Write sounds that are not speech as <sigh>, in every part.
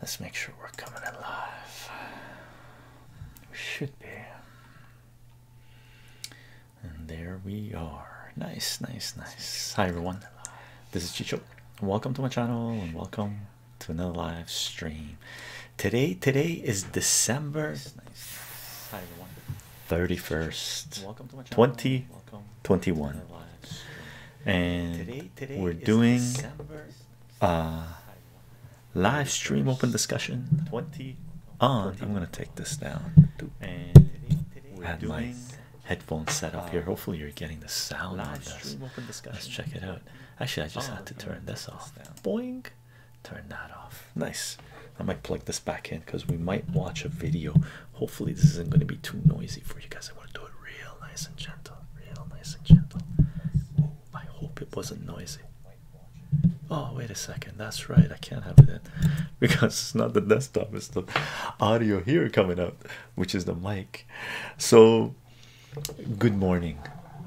Let's make sure we're coming in live. We should be. And there we are. Nice, nice, nice. Hi everyone. This is Chicho. Welcome to my channel and welcome to another live stream. Today, today is December 31st, 2021 and we're doing a live stream open discussion on i'm gonna take this down and today, today my headphones set up here hopefully you're getting the sound live this let's check it out actually i just had oh, to turn this off boing turn that off nice i might plug this back in because we might watch a video hopefully this isn't going to be too noisy for you guys i want to do it real nice and gentle real nice and gentle. I hope it wasn't noisy. Oh, wait a second. That's right. I can't have it in <laughs> because it's not the desktop, it's the audio here coming out, which is the mic. So, good morning.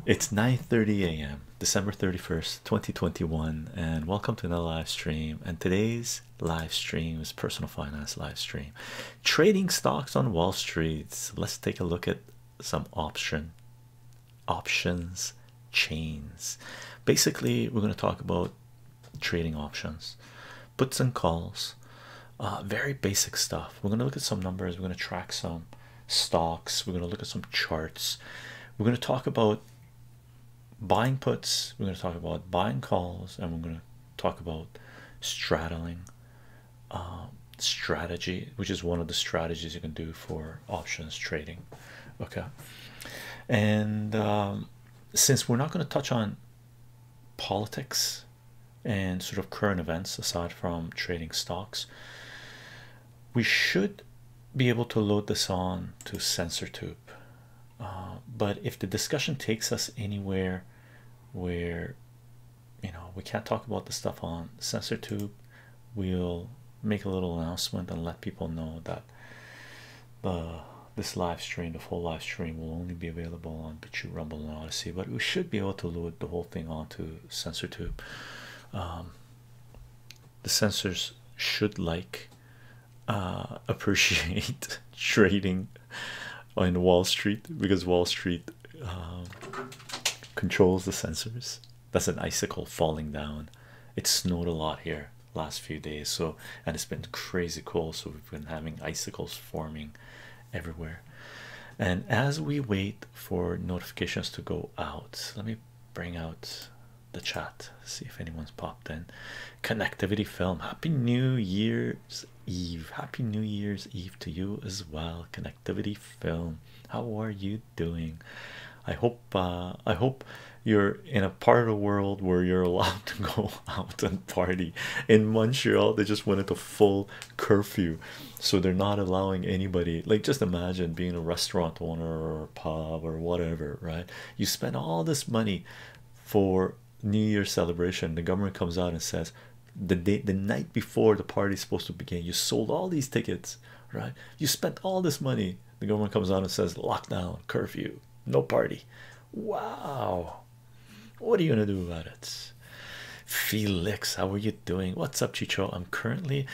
It's 9 30 a.m., December 31st, 2021, and welcome to another live stream. And today's live stream is personal finance live stream trading stocks on Wall Street. Let's take a look at some option options chains. Basically, we're going to talk about trading options, puts and calls, uh, very basic stuff. We're going to look at some numbers, we're going to track some stocks, we're going to look at some charts, we're going to talk about buying puts, we're going to talk about buying calls, and we're going to talk about straddling um, strategy, which is one of the strategies you can do for options trading. Okay, and um, since we're not going to touch on politics and sort of current events aside from trading stocks, we should be able to load this on to SensorTube. Uh, but if the discussion takes us anywhere where you know we can't talk about the stuff on Sensor tube we'll make a little announcement and let people know that the this live stream the full live stream will only be available on BitChute, rumble and odyssey but we should be able to load the whole thing onto Sensor tube um, the sensors should like uh, <laughs> appreciate <laughs> trading on wall street because wall street um, controls the sensors. That's an icicle falling down. It snowed a lot here last few days, so and it's been crazy cold. So we've been having icicles forming everywhere. And as we wait for notifications to go out, let me bring out the chat. See if anyone's popped in. Connectivity film. Happy New Year's Eve. Happy New Year's Eve to you as well film how are you doing i hope uh, i hope you're in a part of the world where you're allowed to go <laughs> out and party in montreal they just went into full curfew so they're not allowing anybody like just imagine being a restaurant owner or pub or whatever right you spend all this money for new Year celebration the government comes out and says the day the night before the party is supposed to begin you sold all these tickets right you spent all this money the government comes out and says lockdown curfew no party wow what are you gonna do about it felix how are you doing what's up chicho i'm currently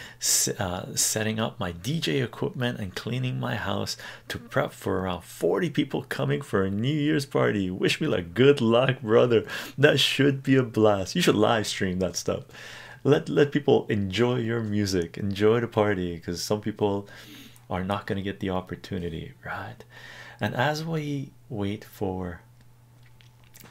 uh, setting up my dj equipment and cleaning my house to prep for around 40 people coming for a new year's party. Wish me like good luck, brother. That should be a blast. You should live stream that stuff. Let let people enjoy your music, enjoy the party, because some people are not gonna get the opportunity, right? And as we wait for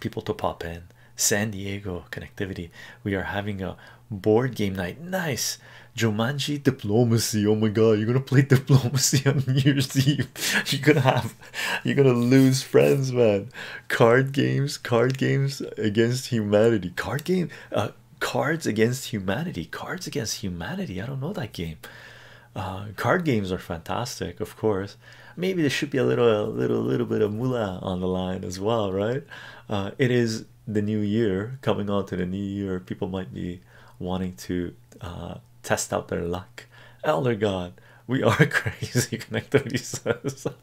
people to pop in, San Diego connectivity, we are having a board game night. Nice. Jumanji diplomacy. Oh my god, you're gonna play <laughs> diplomacy on New Year's Eve. <laughs> You're gonna have <laughs> You're gonna lose friends, man. Card games, card games against humanity. Card game, uh, cards against humanity. Cards against humanity. I don't know that game. Uh, card games are fantastic, of course. Maybe there should be a little, a little, little bit of moolah on the line as well, right? Uh, it is the new year coming on to the new year. People might be wanting to test out their luck. Oh Elder God. We are <laughs> crazy connected, he says. <laughs>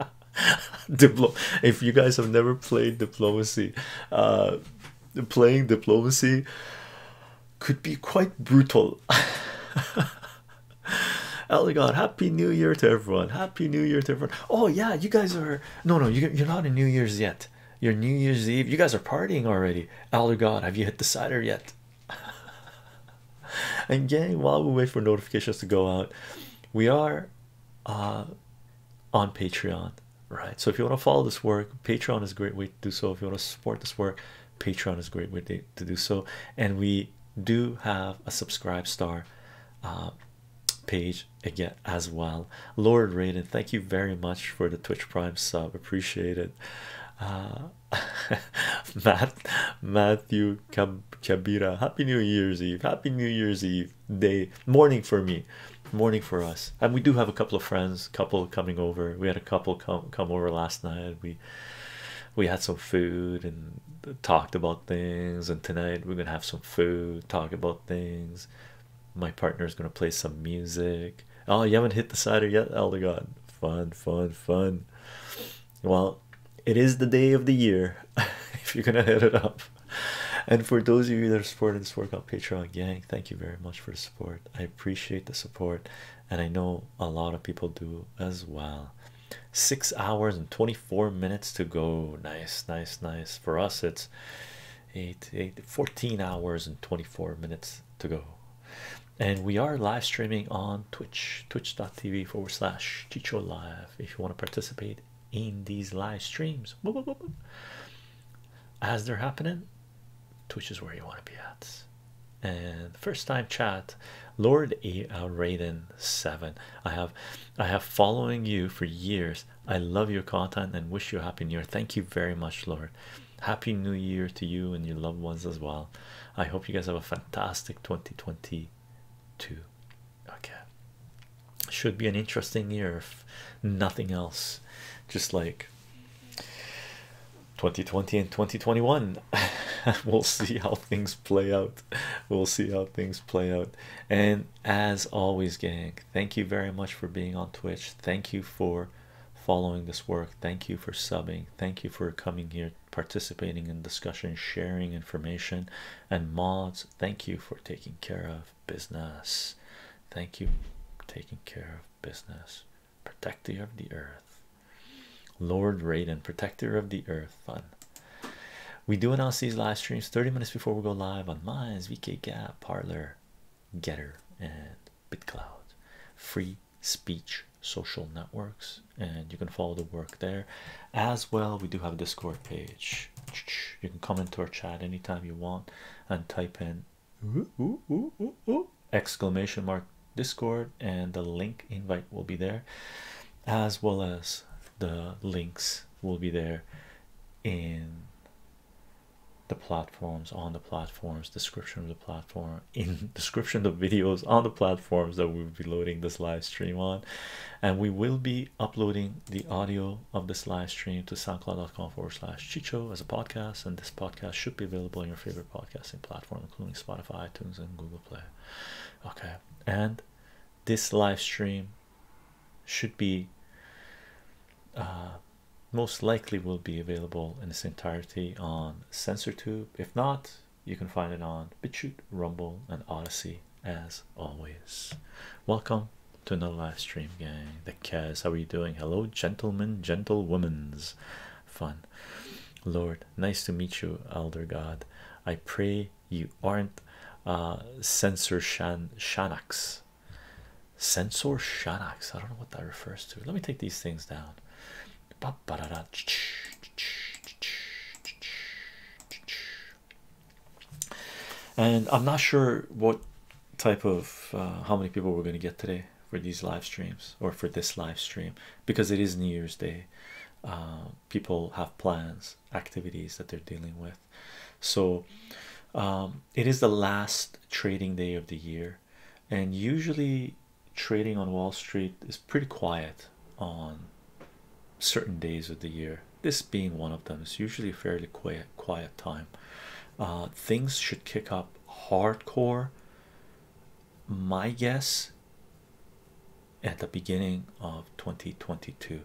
Diplo if you guys have never played diplomacy, uh, playing diplomacy could be quite brutal. <laughs> Elegant, happy new year to everyone! Happy new year to everyone! Oh, yeah, you guys are no, no, you, you're not in New Year's yet. You're New Year's Eve, you guys are partying already. Elder God, have you hit the cider yet? <laughs> and gang while we wait for notifications to go out we are uh, on patreon right so if you want to follow this work patreon is a great way to do so if you want to support this work patreon is a great way to, do so and we do have a subscribe star uh, page again as well lord raiden thank you very much for the twitch prime sub appreciate it uh, <laughs> Matt Matthew Cab Cabira. Happy New Year's Eve. Happy New Year's Eve day morning for me, morning for us. And we do have a couple of friends, couple coming over. We had a couple come come over last night. We we had some food and talked about things. And tonight we're gonna have some food, talk about things. My partner is gonna play some music. Oh, you haven't hit the cider yet, Elder God. Fun, fun, fun. Well, it is the day of the year <laughs> if you're gonna hit it up. And for those of you that are supporting this work on Patreon, gang, thank you very much for the support. I appreciate the support, and I know a lot of people do as well. Six hours and 24 minutes to go. Nice, nice, nice. For us, it's eight, eight, 14 hours and 24 minutes to go and we are live streaming on Twitch, twitch.tv forward slash Chicho Live. If you want to participate in these live streams as they're happening, Twitch is where you want to be at. And first time chat, Lord A. Al uh, Raiden Seven. I have, I have following you for years. I love your content and wish you a happy new year. Thank you very much, Lord. Happy New Year to you and your loved ones as well. I hope you guys have a fantastic 2022. Okay, should be an interesting year if nothing else, just like 2020 and 2021. <laughs> we'll see how things play out. We'll see how things play out. And as always, gang, thank you very much for being on Twitch. Thank you for following this work. Thank you for subbing. Thank you for coming here participating in discussion, sharing information, and mods. Thank you for taking care of business. Thank you taking care of business. Protector of the earth, Lord Raiden, protector of the earth. Fun. We do announce these live streams 30 minutes before we go live on Minds, VK Gap, Parlor, Getter, and BitCloud. Free speech social networks and you can follow the work there as well we do have discord page you can come into our chat anytime you want and type in exclamation mark discord and the link invite will be there as well as the links will be there in the platforms on the platforms description of the platform in <laughs> description of videos on the platforms that we'll be loading this live stream on and we will be uploading the audio of this live stream to soundcloud.com forward slash chicho as a podcast and this podcast should be available in your favorite podcasting platform including spotify itunes and google play okay and this live stream should be uh, most likely will be available in its entirety on SensorTube. If not, you can find it on BitChute, Rumble, and Odyssey as always. Welcome to another live stream, gang. The Kaz, how are you doing? Hello, gentlemen, gentlewomen's fun. Lord, nice to meet you, Elder God. I pray you aren't uh, Censor Shan shanaks, Censor shanaks. I don't know what that refers to. Let me take these things down and I'm not sure what type of uh, how many people we're going to get today for these live streams or for this live stream because it is New Year's Day. Uh, people have plans, activities that they're dealing with. So um, it is the last trading day of the year, and usually trading on Wall Street is pretty quiet on certain days of the year. This being one of them, it's usually a fairly quiet, quiet time. Uh, things should kick up hardcore. My guess at the beginning of 2022,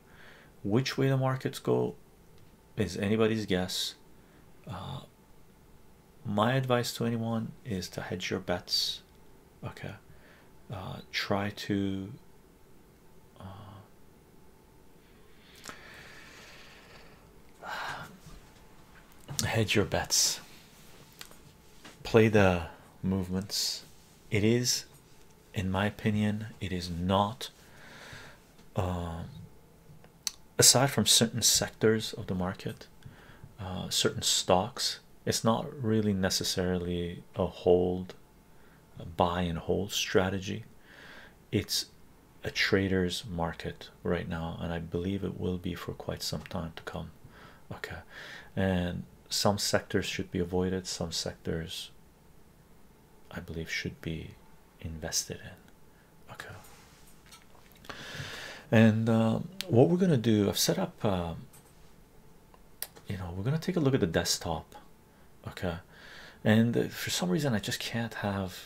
which way the markets go is anybody's guess. Uh, my advice to anyone is to hedge your bets okay uh, try to uh, hedge your bets play the movements it is in my opinion it is not um, aside from certain sectors of the market uh, certain stocks it's not really necessarily a hold a buy and hold strategy it's a trader's market right now and i believe it will be for quite some time to come okay and some sectors should be avoided some sectors i believe should be invested in okay and um, what we're gonna do i've set up um, you know we're gonna take a look at the desktop okay and for some reason I just can't have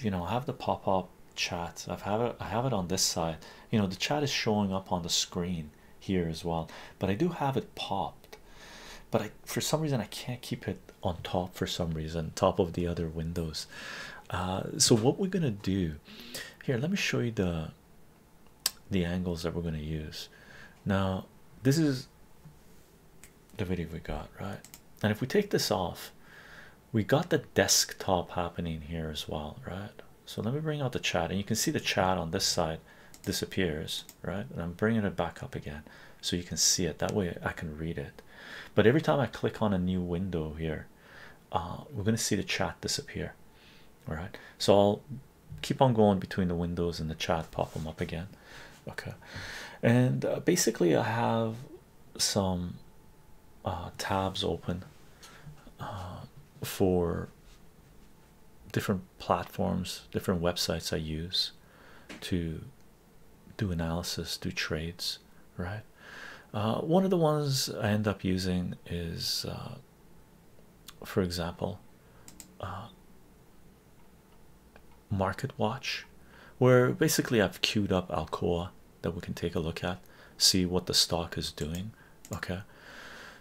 you know have the pop-up chat I've have it I have it on this side you know the chat is showing up on the screen here as well but I do have it popped but I for some reason I can't keep it on top for some reason top of the other windows uh, so what we're gonna do here let me show you the the angles that we're going to use now this is the video we got right and if we take this off we got the desktop happening here as well right so let me bring out the chat and you can see the chat on this side disappears right and i'm bringing it back up again so you can see it that way i can read it but every time i click on a new window here uh, we're going to see the chat disappear all right so i'll keep on going between the windows and the chat pop them up again okay and uh, basically i have some uh, tabs open uh, for different platforms different websites i use to do analysis do trades right one of the ones i end up using is for example, uh, Market Watch, where basically I've queued up Alcoa that we can take a look at, see what the stock is doing. Okay,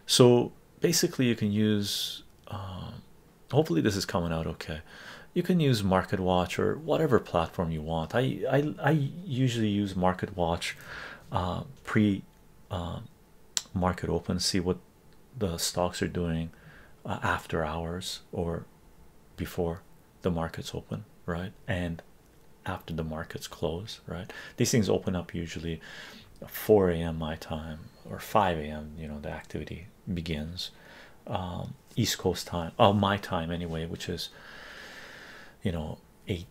so basically you can use. Uh, hopefully this is coming out okay. You can use Market Watch or whatever platform you want. I I I usually use Market Watch uh, pre. Um, market open see what the stocks are doing uh, after hours or before the markets open right and after the markets close right these things open up usually 4 a.m my time or 5 a.m you know the activity begins um east coast time oh my time anyway which is you know 8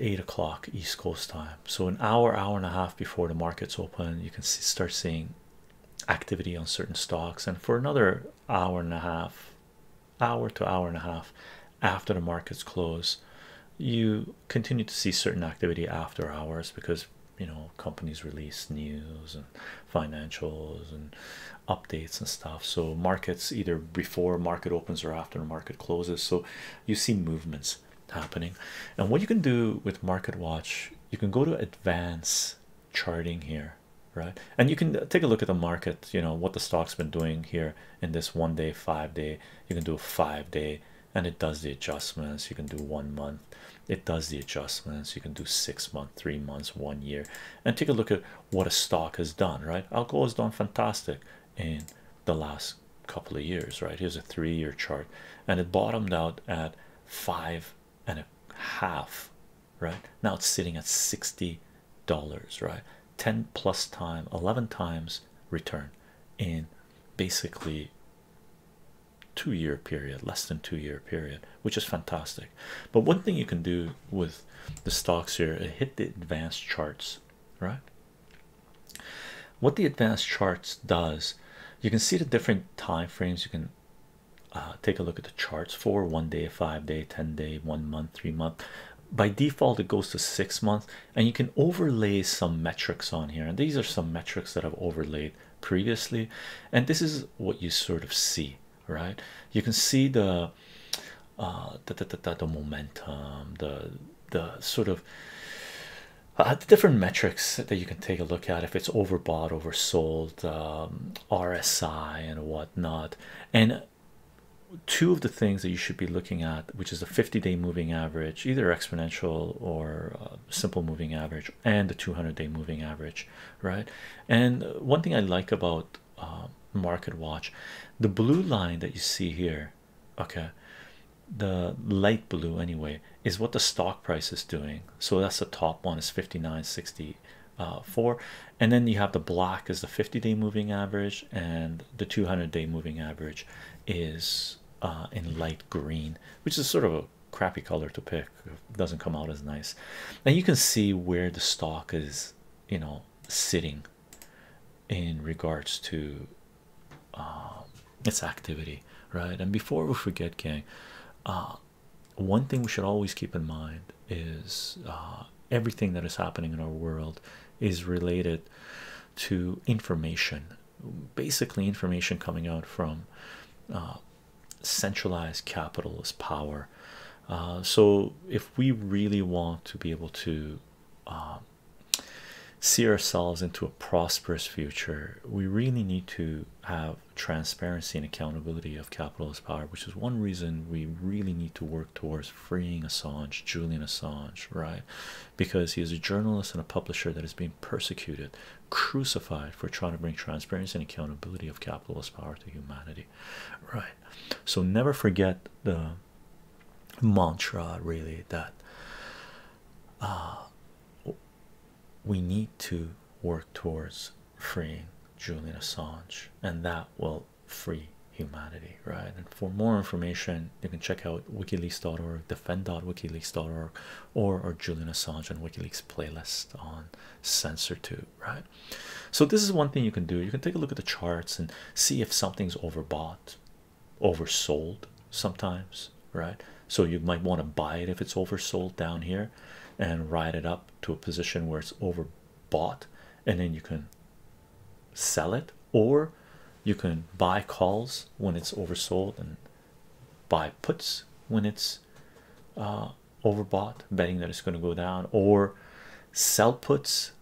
8 o'clock East Coast time. So, an hour, hour and a half before the markets open, you can see, start seeing activity on certain stocks. And for another hour and a half, hour to hour and a half after the markets close, you continue to see certain activity after hours because you know companies release news and financials and updates and stuff so markets either before market opens or after market closes so you see movements happening and what you can do with market watch you can go to advanced charting here right and you can uh, take a look at the market you know what the stock's been doing here in this one day five day you can do a five day and it does the adjustments you can do one month it does the adjustments you can do six month three months one year and take a look at what a stock has done right alcohol has done fantastic in the last couple of years right here's a three-year chart and it bottomed out at five and a half right now it's sitting at 60 dollars right 10 plus time 11 times return in basically two-year period less than two-year period which is fantastic but one thing you can do with the stocks here hit the advanced charts right what the advanced charts does you can see the different time frames you can uh, take a look at the charts for one day five day ten day one month three month by default it goes to six months and you can overlay some metrics on here and these are some metrics that i've overlaid previously and this is what you sort of see right you can see the uh, the, the, the, the momentum the the sort of uh, the different metrics that you can take a look at if it's overbought, oversold, um, RSI, and whatnot. And two of the things that you should be looking at, which is the 50 day moving average, either exponential or uh, simple moving average, and the 200 day moving average, right? And one thing I like about uh, Market Watch, the blue line that you see here okay the light blue anyway is what the stock price is doing so that's the top one is fifty nine sixty uh, four, and then you have the black is the 50-day moving average and the 200-day moving average is uh, in light green which is sort of a crappy color to pick doesn't come out as nice and you can see where the stock is you know sitting in regards to um, its activity, right? And before we forget, gang, uh, one thing we should always keep in mind is uh, everything that is happening in our world is related to information, basically information coming out from uh, centralized capitalist power. so if we really want to be able to um, see ourselves into a prosperous future, we really need to have transparency and accountability of capitalist power, which is one reason we really need to work towards freeing Assange, Julian Assange, right? Because he is a journalist and a publisher that is being persecuted, crucified for trying to bring transparency and accountability of capitalist power to humanity, right? So never forget the mantra, really, that. Uh, we need to work towards freeing Julian Assange, and that will free humanity, right? And for more information, you can check out wikileaks.org, defend.wikileaks.org, or our Julian Assange and WikiLeaks playlist on CensorTube, right? So, this is one thing you can do. You can take a look at the charts and see if something's overbought oversold sometimes, right? So you might want to buy it if it's oversold down here and ride it up to a position where it's overbought, and then you can sell it, or you can buy calls when it's oversold and buy puts when it's uh, overbought, betting that it's going to go down, or sell puts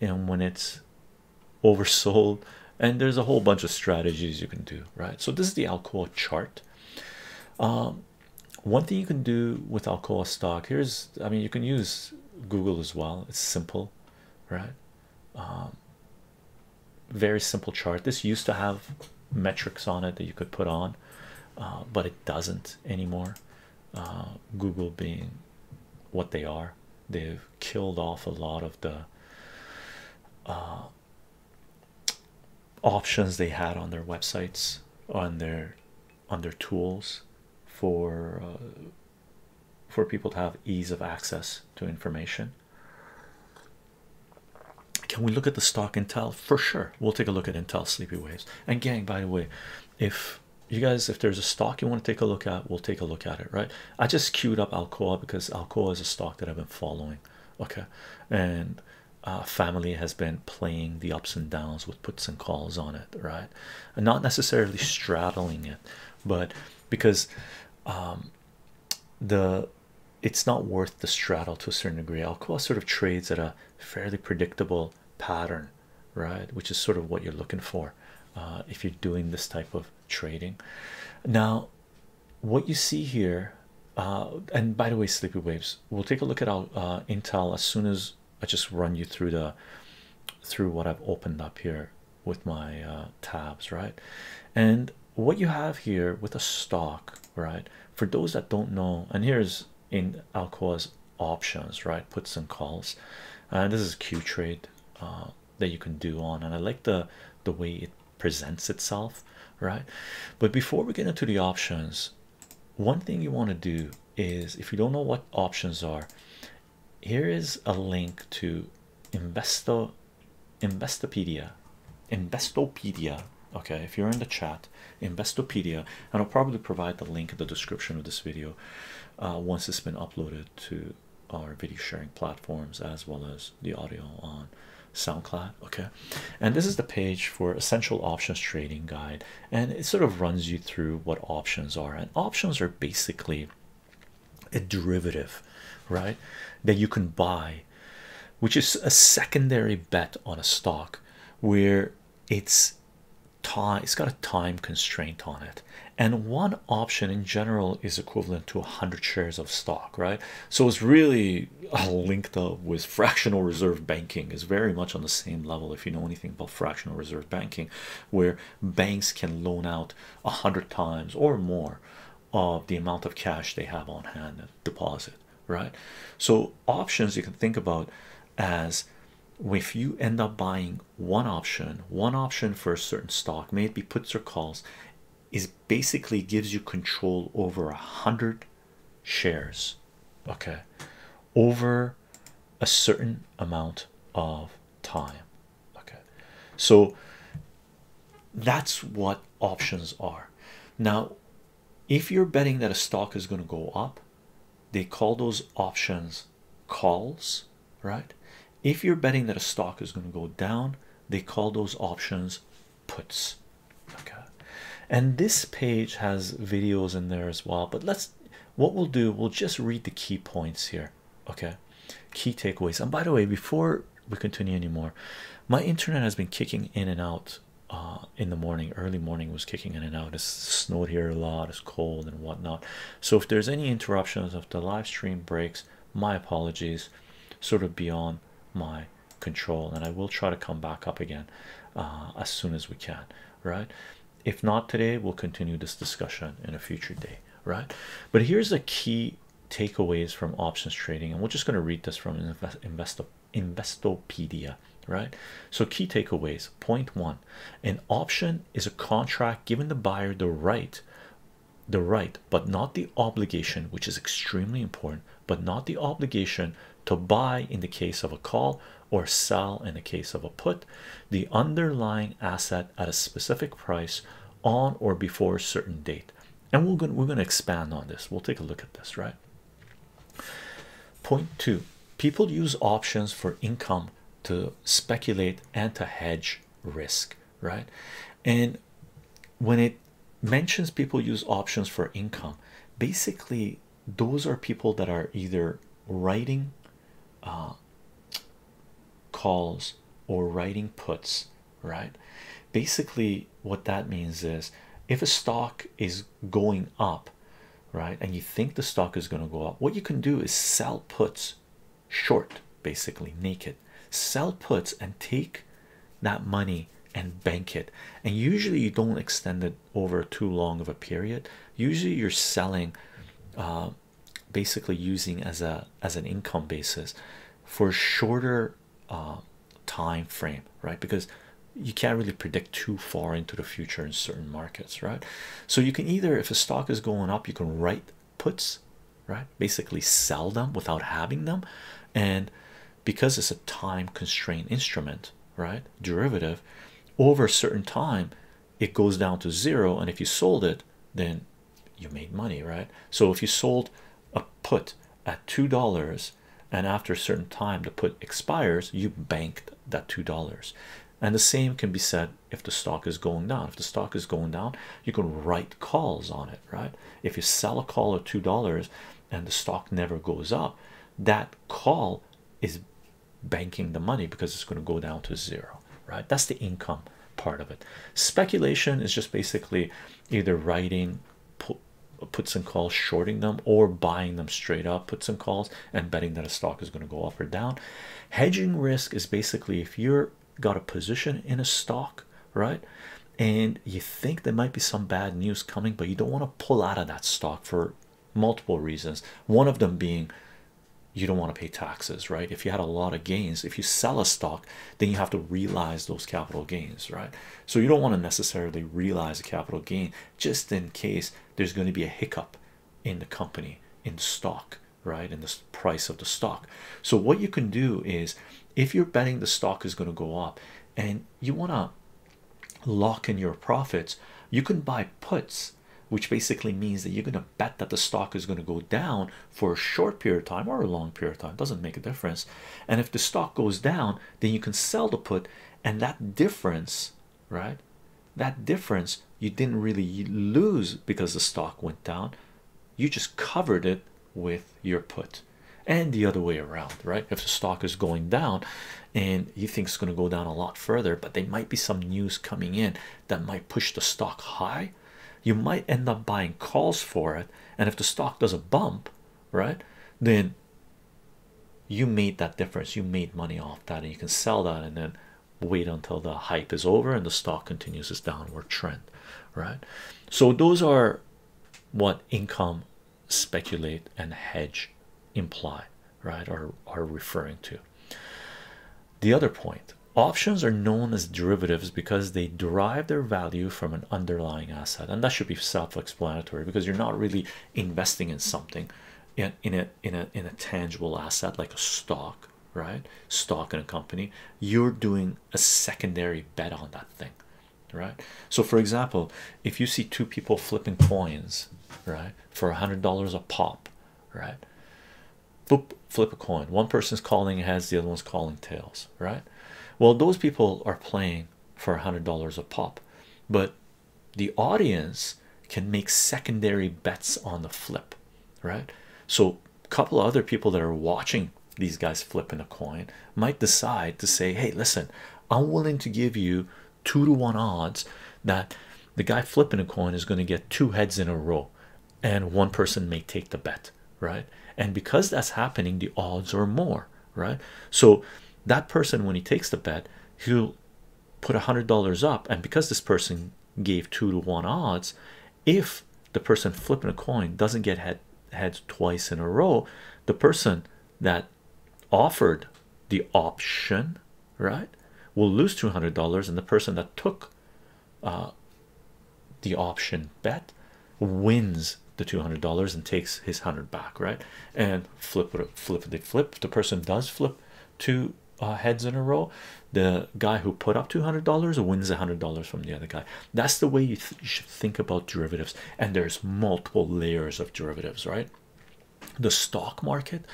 and when it's oversold and there's a whole bunch of strategies you can do right so this is the alcoa chart um, one thing you can do with alcoa stock here's i mean you can use google as well it's simple right um, very simple chart this used to have metrics on it that you could put on uh, but it doesn't anymore uh, google being what they are they've killed off a lot of the uh, options they had on their websites on their on their tools for uh, for people to have ease of access to information can we look at the stock intel for sure we'll take a look at intel sleepy waves and gang by the way if you guys if there's a stock you want to take a look at we'll take a look at it right i just queued up alcoa because alcoa is a stock that i've been following okay and uh, family has been playing the ups and downs with puts and calls on it right not necessarily straddling it but because um, the it's not worth the straddle to a certain degree Alcoa sort of trades at a fairly predictable pattern right which is sort of what you're looking for uh, if you're doing this type of trading now what you see here uh, and by the way sleepy waves we'll take a look at our uh, intel as soon as I just run you through the through what I've opened up here with my uh, tabs right and what you have here with a stock right for those that don't know and here's in Alcoa's options right puts and calls and this is Q trade um, that you can do on and i like the the way it presents itself right but before we get into the options one thing you want to do is if you don't know what options are here is a link to investo investopedia investopedia okay if you're in the chat investopedia and i'll probably provide the link in the description of this video uh, once it's been uploaded to our video sharing platforms as well as the audio on SoundCloud. Okay, and this is the page for essential options trading guide, and it sort of runs you through what options are. And options are basically a derivative, right? That you can buy, which is a secondary bet on a stock where it's time it's got a time constraint on it and one option in general is equivalent to 100 shares of stock right? So it's really linked up with fractional reserve banking It's very much on the same level if you know anything about fractional reserve banking where banks can loan out a hundred times or more of the amount of cash they have on hand at deposit right so options you can think about as if you end up buying one option one option for a certain stock may it be puts or calls is basically gives you control over a hundred shares okay over a certain amount of time okay so that's what options are now if you're betting that a stock is going to go up they call those options calls right if you're betting that a stock is going to go down they call those options puts okay and this page has videos in there as well but let's what we'll do we'll just read the key points here okay key takeaways and by the way before we continue any more, my internet has been kicking in and out uh, in the morning early morning was kicking in and out it's snowed here a lot it's cold and whatnot so if there's any interruptions of the live stream breaks my apologies sort of beyond my control and i will try to come back up again uh, as soon as we can right if not today we'll continue this discussion in a future day right but here's the key takeaways from options trading and we're just going to read this from investopedia right so key takeaways point one an option is a contract giving the buyer the right the right but not the obligation which is extremely important but not the obligation to buy in the case of a call or sell in the case of a put the underlying asset at a specific price on or before a certain date and we're going to expand on this we'll take a look at this right point two people use options for income to speculate and to hedge risk right? And when it mentions people use options for income, basically those are people that are either writing uh, calls or writing puts, right? Basically, what that means is if a stock is going up, right, and you think the stock is going to go up, what you can do is sell puts short, basically naked sell puts, and take that money and bank it. And usually, you don't extend it over too long of a period. Usually, you're selling, uh, basically using as a as an income basis for a shorter uh, time frame, right? Because you can't really predict too far into the future in certain markets, right? So you can either, if a stock is going up, you can write puts, right? Basically, sell them without having them, and because it's a time constrained instrument, right? Derivative over a certain time, it goes down to zero, and if you sold it, then you made money, right? So if you sold a put at two dollars and after a certain time the put expires, you banked that two dollars. And the same can be said if the stock is going down. If the stock is going down, you can write calls on it, right? if you sell a call at two dollars and the stock never goes up that call is banking the money because it's going to go down to zero right that's the income part of it speculation is just basically either writing puts and calls shorting them or buying them straight up puts and calls and betting that a stock is going to go up or down hedging risk is basically if you're got a position in a stock right? And you think there might be some bad news coming, but you don't want to pull out of that stock for multiple reasons. One of them being you don't want to pay taxes, right? If you had a lot of gains, if you sell a stock, then you have to realize those capital gains, right? So you don't want to necessarily realize a capital gain just in case there's going to be a hiccup in the company, in stock, right? In the price of the stock. So what you can do is if you're betting the stock is going to go up and you want to lock in your profits you can buy puts which basically means that you're going to bet that the stock is going to go down for a short period of time or a long period of time doesn't make a difference and if the stock goes down then you can sell the put and that difference right that difference you didn't really lose because the stock went down you just covered it with your put and the other way around, right? If the stock is going down and you think it's going to go down a lot further, but there might be some news coming in that might push the stock high, you might end up buying calls for it. And if the stock does a bump, right, then you made that difference, you made money off that, and you can sell that and then wait until the hype is over and the stock continues its downward trend, right? So, those are what income speculate and hedge imply right are are referring to the other point options are known as derivatives because they derive their value from an underlying asset and that should be self-explanatory because you're not really investing in something in a in a in a tangible asset like a stock right stock in a company you're doing a secondary bet on that thing right? So, for example, if you see two people flipping coins, right, for a hundred dollars a pop, right? flip a coin. One person's calling heads, the other one's calling tails, right? Well, those people are playing for a hundred dollars a pop, but the audience can make secondary bets on the flip, right? So, a couple other people that are watching these guys flipping a coin might decide to say, Hey, listen, I'm willing to give you two to one odds that the guy flipping a coin is going to get two heads in a row, and one person may take the bet, right? And because that's happening, the odds are more, right? So that person, when he takes the bet, he'll put a hundred dollars up, and because this person gave two to one odds, if the person flipping a coin doesn't get heads twice in a row, the person that offered the option right will lose $200 and the person that took uh, the option bet wins the $200 and takes his hundred back right and flip flip they flip the person does flip two uh, heads in a row the guy who put up $200 wins $100 from the other guy that's the way you, should think about derivatives, and there's multiple layers of derivatives, right? The stock market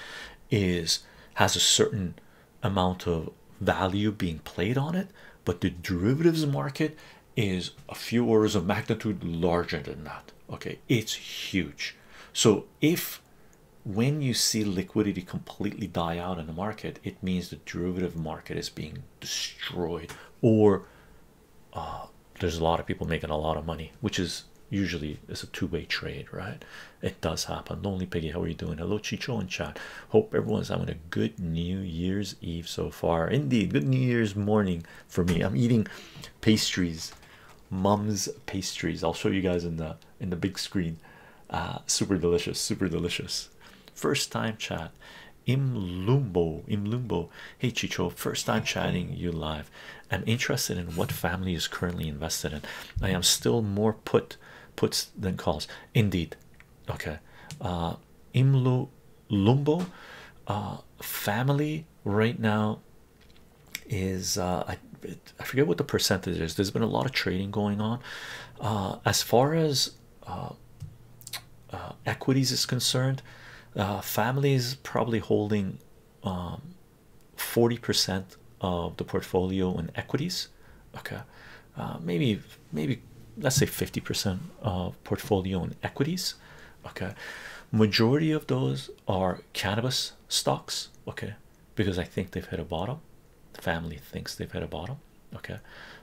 is has a certain amount of value being played on it, but the derivatives market is a few orders of magnitude larger than that. Okay, it's huge. So if when you see liquidity completely die out in the market, it means the derivative market is being destroyed or there's a lot of people making a lot of money, which is usually it's a two-way trade, right? It does happen. Lonely Piggy, how are you doing? Hello, Chicho and chat. Hope everyone's having a good New Year's Eve so far. Indeed, good New Year's morning for me. I'm eating pastries, mum's pastries. I'll show you guys in the in the big screen. Uh, super delicious, super delicious. First time chat. Imlumbo, Imlumbo. Hey Chicho, first time chatting you live. I'm interested in what family is currently invested in. I am still more put puts than calls. Indeed. Okay. Uh, Imlumbo uh, family right now is uh, I forget what the percentage is. There's been a lot of trading going on. as far as uh, equities is concerned, uh, family is probably holding 40% um, of the portfolio in equities. Okay, uh, maybe maybe let's say 50% of portfolio in equities. Okay, majority of those are cannabis stocks. Okay, because I think they've hit a bottom. family thinks they've hit a bottom. Okay,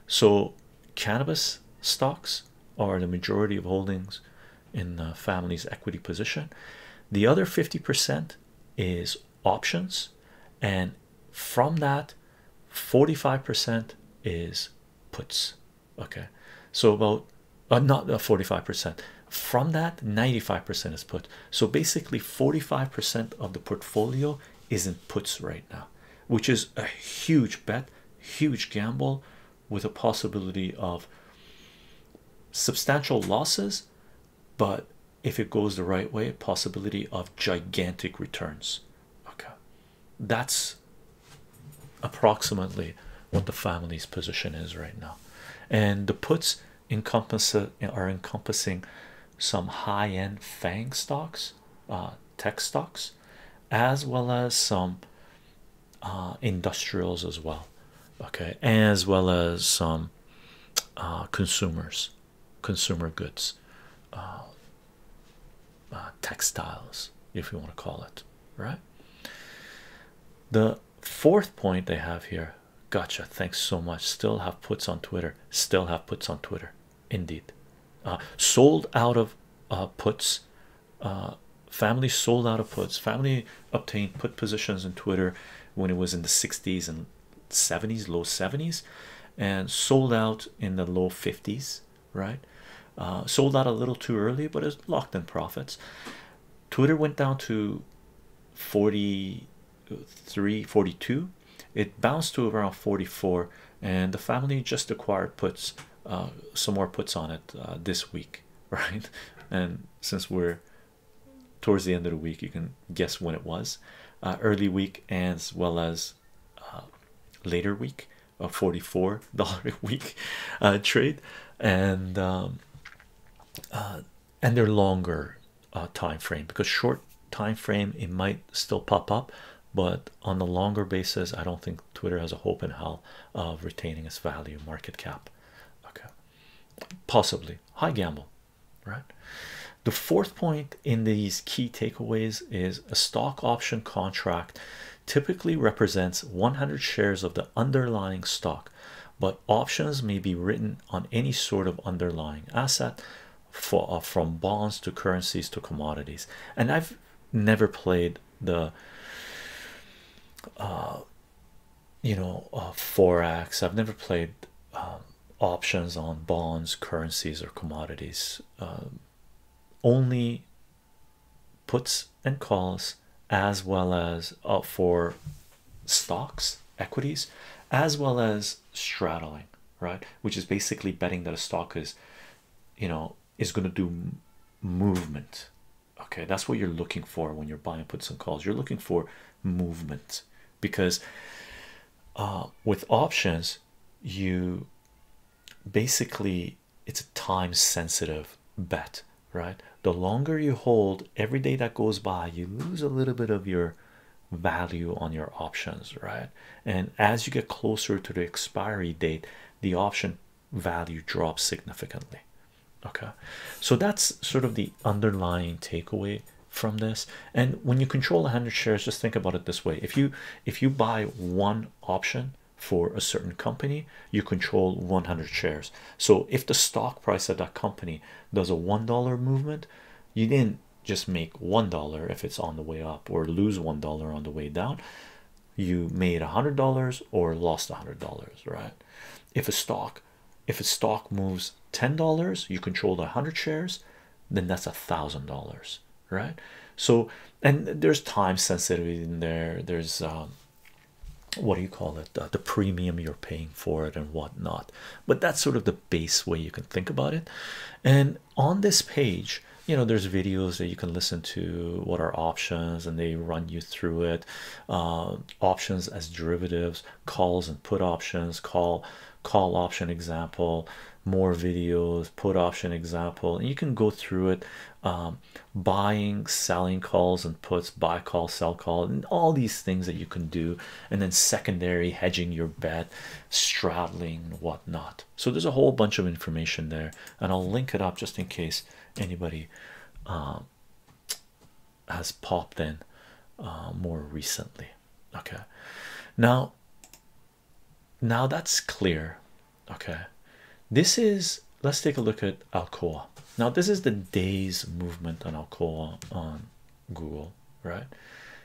so cannabis stocks are the majority of holdings in the family's equity position the other 50% is options and from that 45% is puts okay so about uh, not 45% from that 95% is put so basically 45% of the portfolio is in puts right now which is a huge bet huge gamble with a possibility of substantial losses but if it goes the right way possibility of gigantic returns okay that's approximately what the family's position is right now and the puts encompass are encompassing some high-end fang stocks uh, tech stocks as well as some uh, industrials as well, okay, as well as some uh, consumers, consumer goods, uh, textiles, if you want to call it, right? The fourth point they have here gotcha. Thanks so much. Still have puts on Twitter, still have puts on Twitter, indeed. sold out of puts uh, family sold out of puts family obtained put positions in twitter when it was in the 60s and 70s low 70s and sold out in the low 50s right uh, sold out a little too early but it's locked in profits twitter went down to 43 42 it bounced to around 44 and the family just acquired puts uh, some more puts on it this week <laughs> right? And since we're towards the end of the week, you can guess when it was uh, early week as well as uh, later week of 44 <laughs> dollar a <laughs> week uh, trade and um, and their longer time frame because short time frame it might still pop up but on the longer basis I don't think Twitter has a hope in hell of retaining its value market cap okay possibly high gamble right the fourth point in these key takeaways is a stock option contract typically represents 100 shares of the underlying stock but options may be written on any sort of underlying asset for uh, from bonds to currencies to commodities and i've never played the uh you know uh, forex i've never played um, options on bonds currencies or commodities um, only puts and calls as well as uh, for stocks equities as well as straddling right which is basically betting that a stock is you know is going to do movement okay that's what you're looking for when you're buying puts and calls you're looking for movement because uh, with options you basically it's a time sensitive bet right the longer you hold every day that goes by you lose a little bit of your value on your options right and as you get closer to the expiry date the option value drops significantly. Okay, so that's sort of the underlying takeaway from this. And when you control 100 shares, just think about it this way: if you if you buy one option for a certain company, you control 100 shares. So if the stock price of that company does a one dollar movement, you didn't just make one dollar if it's on the way up or lose one dollar on the way down you made a hundred dollars or lost a hundred dollars right if a stock if a stock moves ten dollars you control the hundred shares then that's a thousand dollars right so and there's time sensitivity in there there's um what do you call it the premium you're paying for it and whatnot but that's sort of the base way you can think about it and on this page you know there's videos that you can listen to what are options and they run you through it uh, options as derivatives calls and put options call call option example more videos put option example and you can go through it um, buying selling calls and puts buy call sell call and all these things that you can do and then secondary hedging your bet straddling whatnot so there's a whole bunch of information there and I'll link it up just in case anybody um, has popped in uh, more recently. Okay, now now that's clear. Okay, this is let's take a look at Alcoa. Now this is the day's movement on Alcoa on Google. Right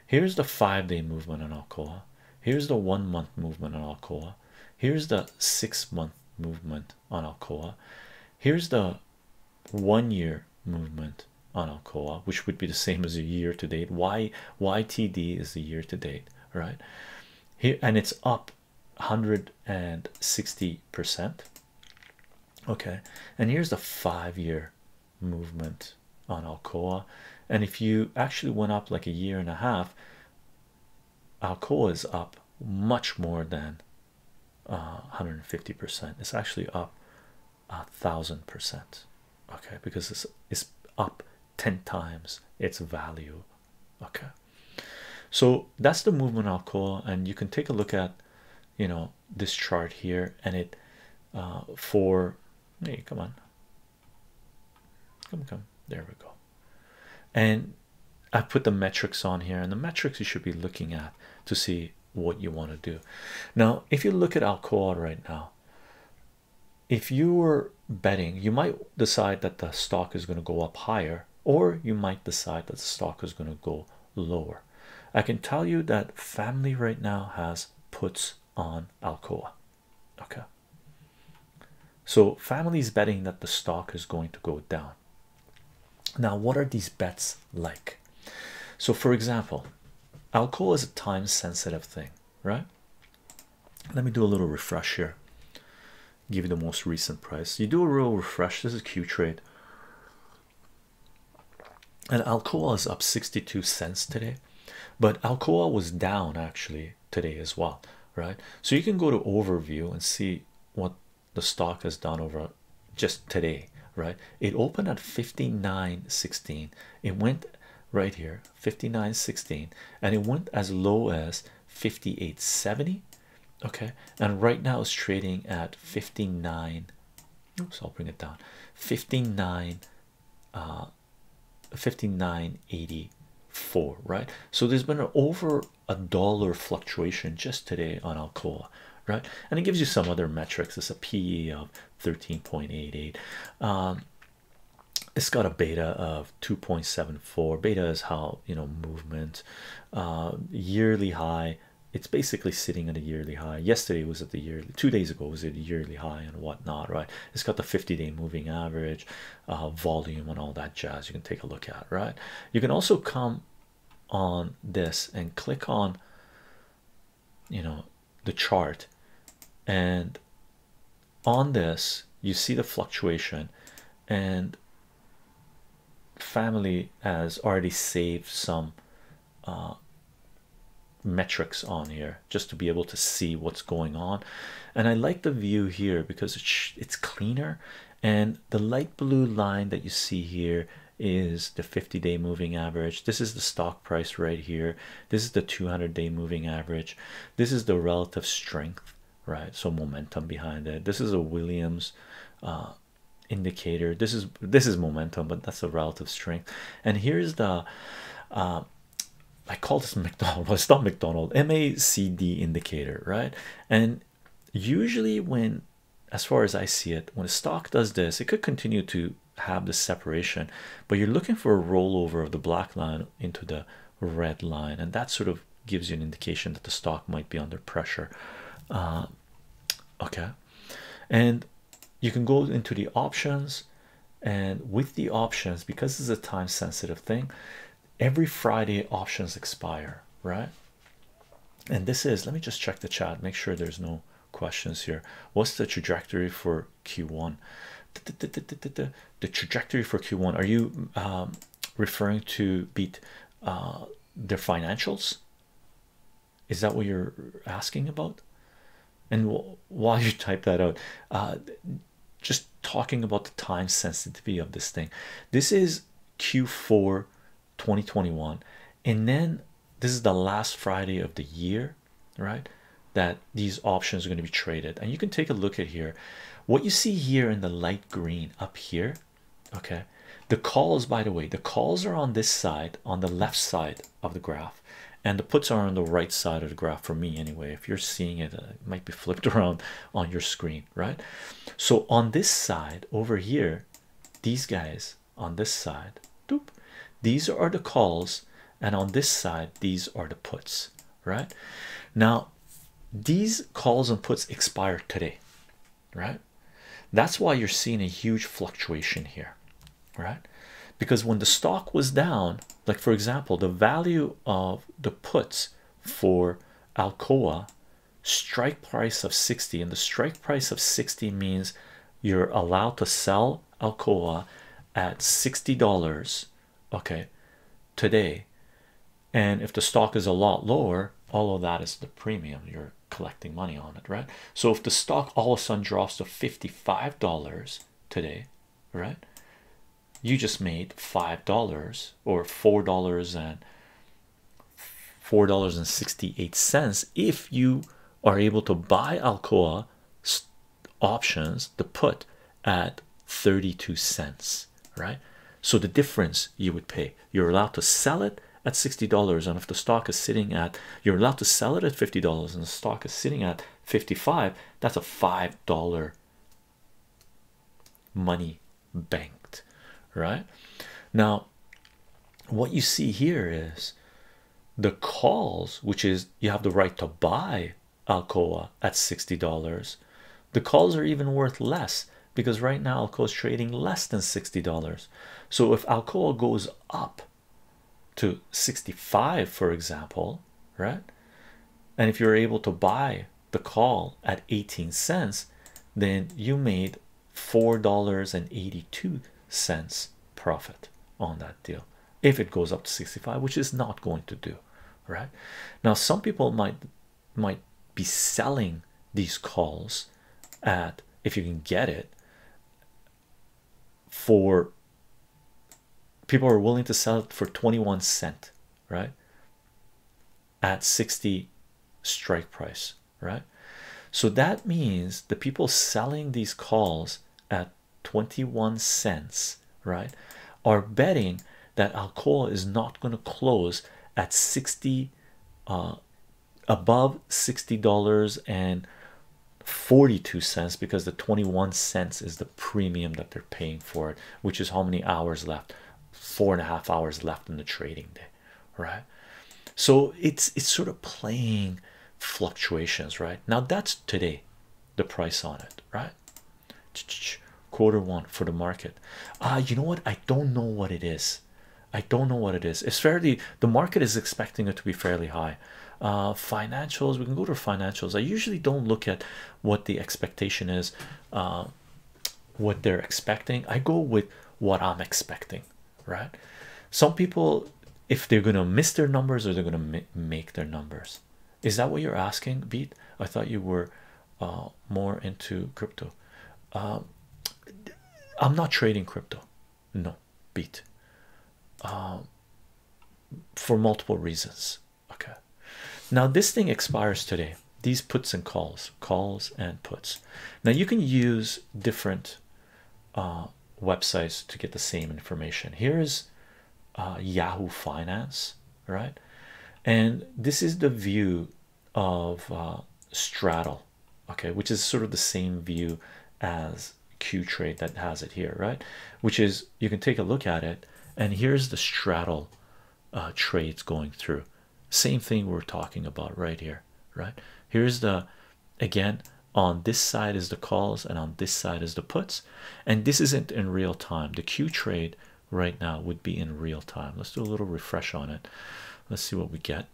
here's the five-day movement on Alcoa. Here's the one-month movement on Alcoa. Here's the six-month movement on Alcoa. Here's the one year movement on Alcoa, which would be the same as a year to date. Why YTD is the year to date, right? Here and it's up 160%. Okay, and here's the five year movement on Alcoa. And if you actually went up like a year and a half, Alcoa is up much more than 150%. Uh, it's actually up a thousand percent, okay, because it's, it's up 10 times its value, okay. So that's the movement Alcoa, and you can take a look at you know this chart here and it uh, for hey, come on, come, come, there we go. And I put the metrics on here, and the metrics you should be looking at to see what you want to do. Now, if you look at Alcoa right now, if you were betting, you might decide that the stock is going to go up higher, or you might decide that the stock is going to go lower. I can tell you that family right now has puts on Alcoa. Okay, so families betting that the stock is going to go down. Now, what are these bets like? So, for example, alcohol is a time sensitive thing, right? Let me do a little refresh here. Give you the most recent price. You do a real refresh. This is Q trade. And Alcoa is up 62 cents today, but Alcoa was down actually today as well, right? So you can go to overview and see what the stock has done over just today right it opened at 59.16 it went right here 59.16 and it went as low as 58.70 okay and right now it's trading at 59 oops I'll bring it down 59 uh 59.84 right so there's been an over a dollar fluctuation just today on Alcoa, right? And it gives you some other metrics. It's a PE of 13.88. Um, it's got a beta of 2.74. Beta is how you know movement, uh, yearly high. It's basically sitting at a yearly high. Yesterday was at the yearly, two days ago was at a yearly high and whatnot, right? It's got the 50 day moving average, uh, volume, and all that jazz. You can take a look at, right? You can also come on this and click on you know the chart and on this you see the fluctuation and family has already saved some uh, metrics on here just to be able to see what's going on and i like the view here because it's it's cleaner and the light blue line that you see here is the 50-day moving average this is the stock price right here this is the 200-day moving average this is the relative strength right so momentum behind it this is a Williams uh, indicator this is this is momentum but that's the relative strength and here's the uh, I call this <laughs> McDonald well, it's not McDonald MACD indicator right and usually when as far as I see it when a stock does this it could continue to have the separation but you're looking for a rollover of the black line into the red line and that sort of gives you an indication that the stock might be under pressure uh, okay and you can go into the options and with the options because it's a time sensitive thing every Friday options expire right and this is let me just check the chat make sure there's no questions here what's the trajectory for q1 the, trajectory for q1 are you um, referring to beat uh, their financials is that what you're asking about and while you type that out uh, just talking about the time sensitivity of this thing this is q4 2021 and then this is the last friday of the year right that these options are going to be traded and you can take a look at here what you see here in the light green up here okay the calls by the way the calls are on this side on the left side of the graph and the puts are on the right side of the graph for me anyway if you're seeing it, uh, it might be flipped <laughs> around on your screen right so on this side over here these guys on this side doop, these are the calls and on this side these are the puts right now these calls and puts expire today right that's why you're seeing a huge fluctuation here right because when the stock was down like for example the value of the puts for alcoa strike price of 60 and the strike price of 60 means you're allowed to sell Alcoa at $60 okay today and if the stock is a lot lower all of that is the premium you're collecting money on it right so if the stock all of a sudden drops to $55 today right you just made five dollars or four dollars and four dollars and sixty eight cents if you are able to buy Alcoa options the put at 32 cents right so the difference you would pay you're allowed to sell it at $60 and if the stock is sitting at you're allowed to sell it at $50 and the stock is sitting at 55 that's a $5 money banked right now what you see here is the calls which is you have the right to buy alcoa at $60 the calls are even worth less because right now alcoa is trading less than $60 so if alcoa goes up to 65 for example right and if you're able to buy the call at 18 cents then you made four dollars and 82 cents profit on that deal if it goes up to 65 which is not going to do right now some people might might be selling these calls at if you can get it for people are willing to sell it for 21 cent right at 60 strike price, right? So that means the people selling these calls at 21 cents, right, are betting that Alcoa is not going to close at 60 uh, above $60 and 42 cents because the 21 cents is the premium that they're paying for it, which is how many hours left four and a half hours left in the trading day right? So it's it's sort of playing fluctuations, right? Now that's today, the price on it, right? quarter one for the market. Ah, uh, you know what? I don't know what it is. I don't know what it is. It's fairly the market is expecting it to be fairly high. Uh, financials, we can go to financials. I usually don't look at what the expectation is uh, what they're expecting i go with what i'm expecting right some people if they're gonna miss their numbers or they're gonna make their numbers is that what you're asking beat i thought you were uh, more into crypto um, i'm not trading crypto no beat um, for multiple reasons okay now this thing expires today these puts and calls calls and puts now you can use different uh, websites to get the same information here is uh, Yahoo Finance right and this is the view of uh, straddle okay which is sort of the same view as Q trade that has it here right which is you can take a look at it and here's the straddle trades going through same thing we're talking about right here right here's the again on this side is the calls and on this side is the puts and this isn't in real time the q trade right now would be in real time let's do a little refresh on it let's see what we get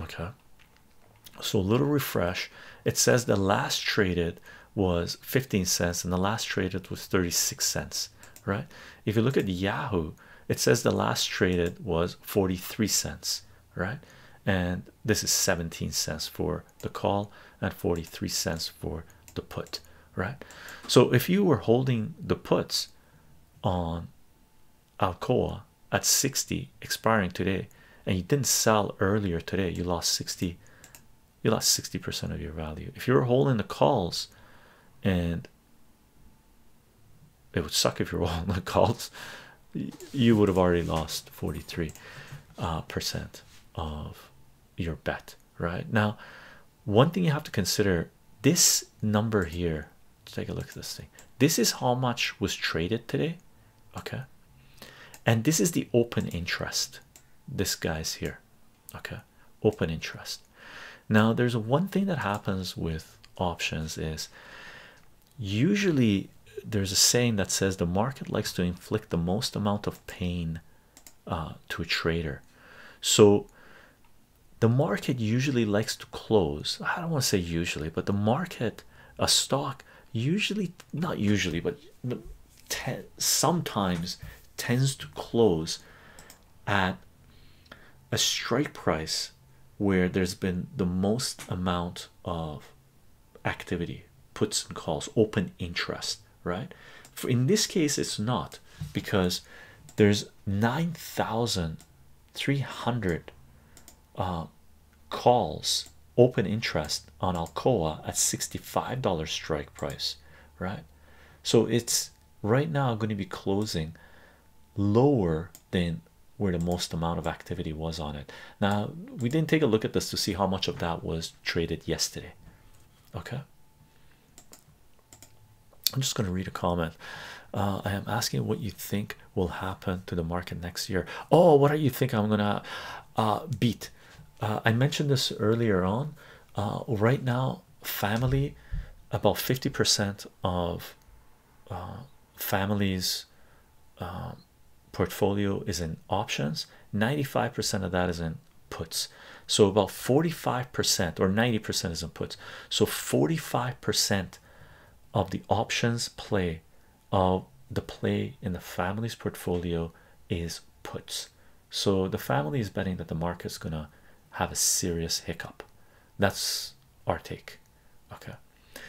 okay so a little refresh it says the last traded was 15 cents and the last traded was 36 cents right if you look at yahoo it says the last traded was 43 cents right and this is 17 cents for the call and 43 cents for the put right so if you were holding the puts on Alcoa at 60 expiring today and you didn't sell earlier today you lost 60 you lost 60% of your value if you were holding the calls and it would suck if you're all in the calls. You would have already lost 43 uh, percent of your bet right now. One thing you have to consider this number here. Take a look at this thing. This is how much was traded today, okay? And this is the open interest. This guy's here, okay? Open interest. Now, there's one thing that happens with options is usually there's a saying that says the market likes to inflict the most amount of pain uh, to a trader. So the market usually likes to close. I don't want to say usually, but the market, a stock, usually not usually, but sometimes tends to close at a strike price where there's been the most amount of activity puts and calls open interest right for in this case it's not because there's 9,300 uh, calls open interest on Alcoa at $65 strike price right so it's right now going to be closing lower than where the most amount of activity was on it. Now, we didn't take a look at this to see how much of that was traded yesterday. Okay, I'm just going to read a comment. Uh, I am asking what you think will happen to the market next year. Oh, what do you think I'm gonna uh, beat? Uh, I mentioned this earlier on. right now, family about 50% of uh, family's uh, portfolio is in options 95% of that is in puts so about 45% or 90% is in puts so 45% of the options play of the play in the family's portfolio is puts so the family is betting that the market's gonna have a serious hiccup that's our take Okay,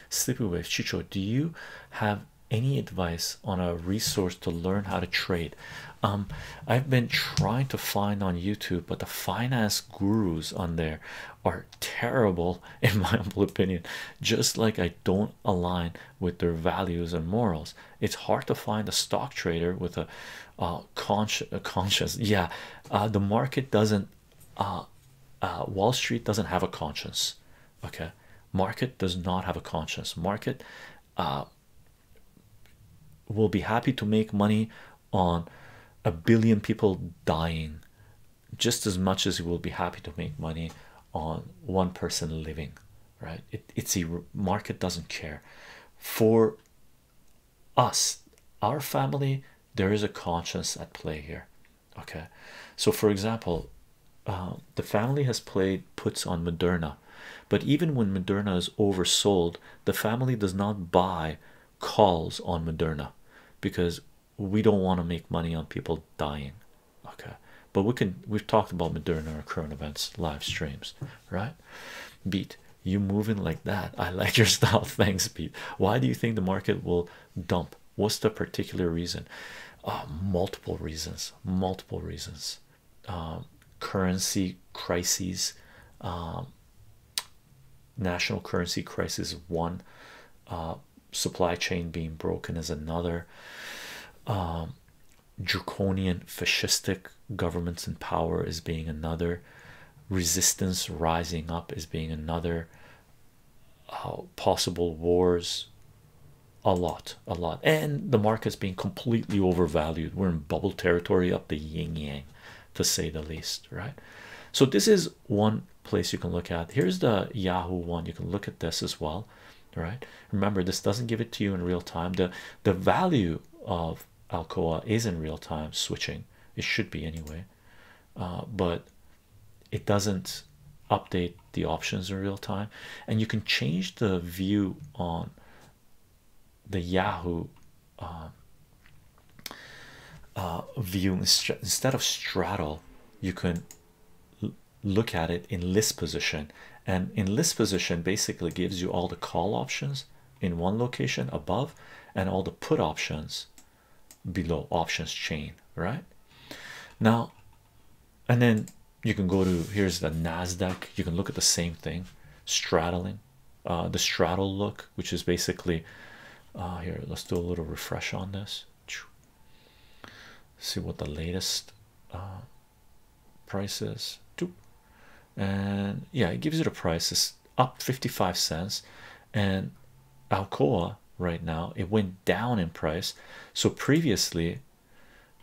Sleepy Wave Chicho, do you have any advice on a resource to learn how to trade? Um, I've been trying to find on YouTube, but the finance gurus on there are terrible, <laughs> in my humble opinion. Just like I don't align with their values and morals, it's hard to find a stock trader with a uh, conscious, yeah. Uh, the market doesn't uh, uh, Wall Street doesn't have a conscience. Okay, market does not have a conscience. Market uh, will be happy to make money on a billion people dying just as much as he will be happy to make money on one person living right it's a market doesn't care for us our family there is a conscience at play here okay so for example uh, the family has played puts on Moderna but even when Moderna is oversold the family does not buy calls on Moderna because we don't want to make money on people dying okay but we can we've talked about Moderna or current events live streams right beat you moving like that I like your <laughs> style thanks beat why do you think the market will dump what's the particular reason uh, multiple reasons multiple reasons um, currency crises um, national currency crisis one uh, supply chain being broken is another um, draconian fascistic governments in power is being another resistance rising up is being another uh, possible wars a lot a lot and the market's being completely overvalued we're in bubble territory up the yin yang to say the least right so this is one place you can look at here's the yahoo one you can look at this as well right remember this doesn't give it to you in real time the the value of alcoa is in real time switching it should be anyway uh, but it doesn't update the options in real time and you can change the view on the yahoo um, uh, view instead of straddle you can look at it in list position and in list position basically gives you all the call options in one location above and all the put options below options chain right now and then you can go to here's the Nasdaq you can look at the same thing straddling uh, the straddle look which is basically uh, here let's do a little refresh on this see what the latest uh, price is and yeah it gives you the prices up 55 cents and Alcoa right now it went down in price so previously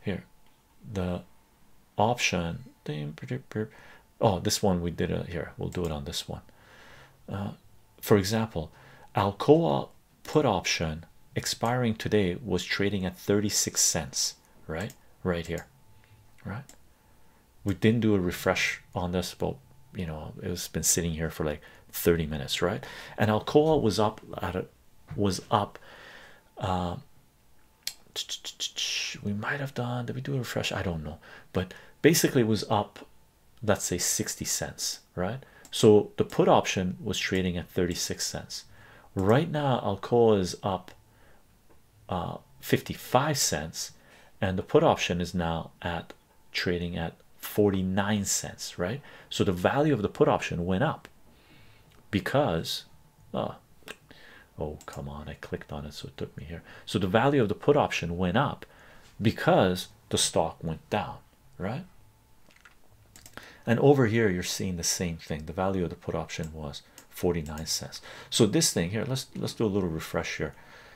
here the option oh this one we did it here we'll do it on this one uh, for example Alcoa put option expiring today was trading at 36 cents right right here right we didn't do a refresh on this but you know it's been sitting here for like 30 minutes right and alcoa was up at a, was up uh, we might have done did we do a refresh i don't know but basically it was up let's say 60 cents right so the put option was trading at 36 cents right now alcoa is up uh, 55 cents and the put option is now at trading at 49 cents, right? So the value of the put option went up because oh, oh, come on, I clicked on it, so it took me here. So the value of the put option went up because the stock went down, right? And over here, you're seeing the same thing. The value of the put option was 49 cents. So this thing here, let's let's do a little refresh here.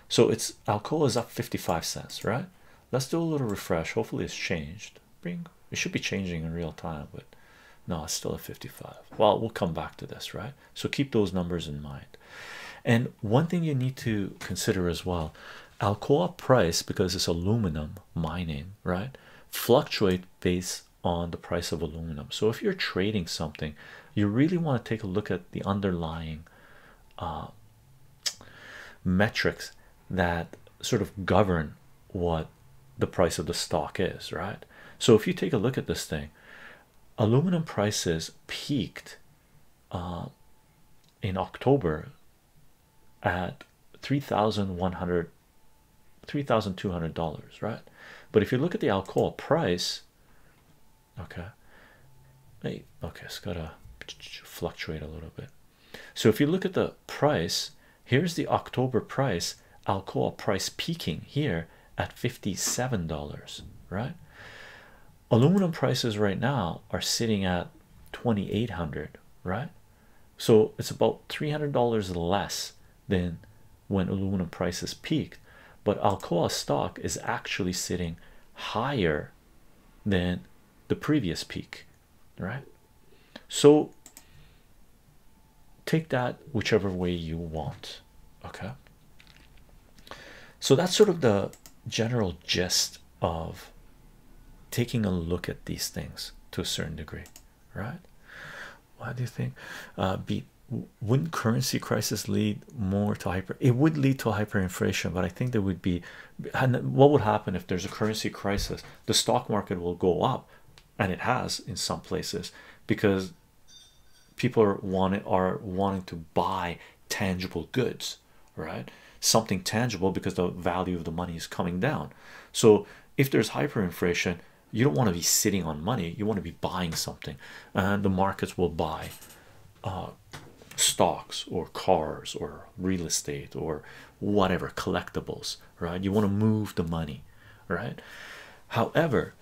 So it's Alcoa is up 55 cents, right? Let's do a little refresh. Hopefully, it's changed. Bring it should be changing in real time, but no, it's still at 55. Well, we'll come back to this, right? So keep those numbers in mind. And one thing you need to consider as well Alcoa price, because it's aluminum mining, right? Fluctuate based on the price of aluminum. So if you're trading something, you really want to take a look at the underlying uh, metrics that sort of govern what the price of the stock is, right? So if you take a look at this thing, aluminum prices peaked uh, in October at three thousand one hundred, three thousand two hundred dollars, right? But if you look at the alcohol price, okay, okay, it's gotta fluctuate a little bit. So if you look at the price, here's the October price, Alcoa price peaking here at $57, right? Aluminum prices right now are sitting at 2800 right? So it's about $300 less than when aluminum prices peaked, but Alcoa stock is actually sitting higher than the previous peak, right? So take that whichever way you want, okay? So that's sort of the general gist of taking a look at these things to a certain degree, right? Why do you think uh, be wouldn't currency crisis lead more to hyper? It would lead to hyperinflation, but I think there would be and what would happen if there's a currency crisis the stock market will go up and it has in some places because people are wanting are wanting to buy tangible goods right something tangible because the value of the money is coming down so if there's hyperinflation you don't want to be sitting on money you want to be buying something and the markets will buy uh, stocks or cars or real estate or whatever collectibles, right? You want to move the money, right? However,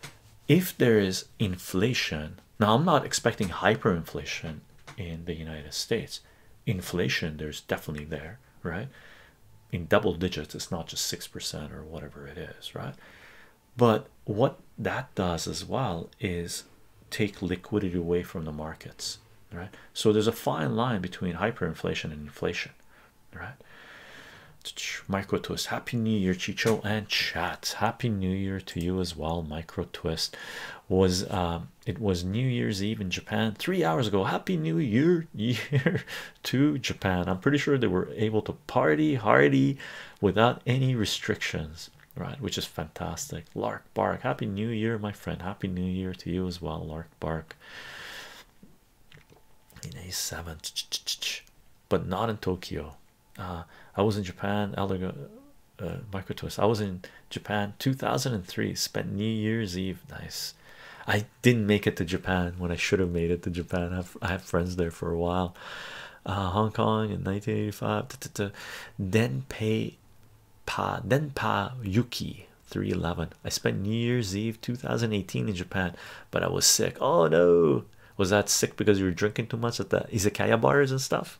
if there is inflation, now I'm not expecting hyperinflation in the United States, inflation there's definitely there, right? In double digits, it's not just six percent or whatever it is, right? But what that does as well is take liquidity away from the markets right so there's a fine line between hyperinflation and inflation right micro twist happy new year chicho and chat happy new year to you as well micro twist was um it was new year's eve in japan three hours ago happy new year <laughs> to japan i'm pretty sure they were able to party hardy without any restrictions right? Which is fantastic. Lark Bark, Happy New Year, my friend. Happy New Year to you as well, Lark Bark. In but not in Tokyo. Uh, I was in Japan, Elder uh, I was in Japan 2003, spent New Year's Eve. Nice. I didn't make it to Japan when I should have made it to Japan. I've, friends there for a while. Uh, Hong Kong in 1985. Then pay Pa then Pa Yuki 311. I spent New Year's Eve 2018 in Japan, but I was sick. Oh no, was that sick because you were drinking too much at the izakaya bars and stuff?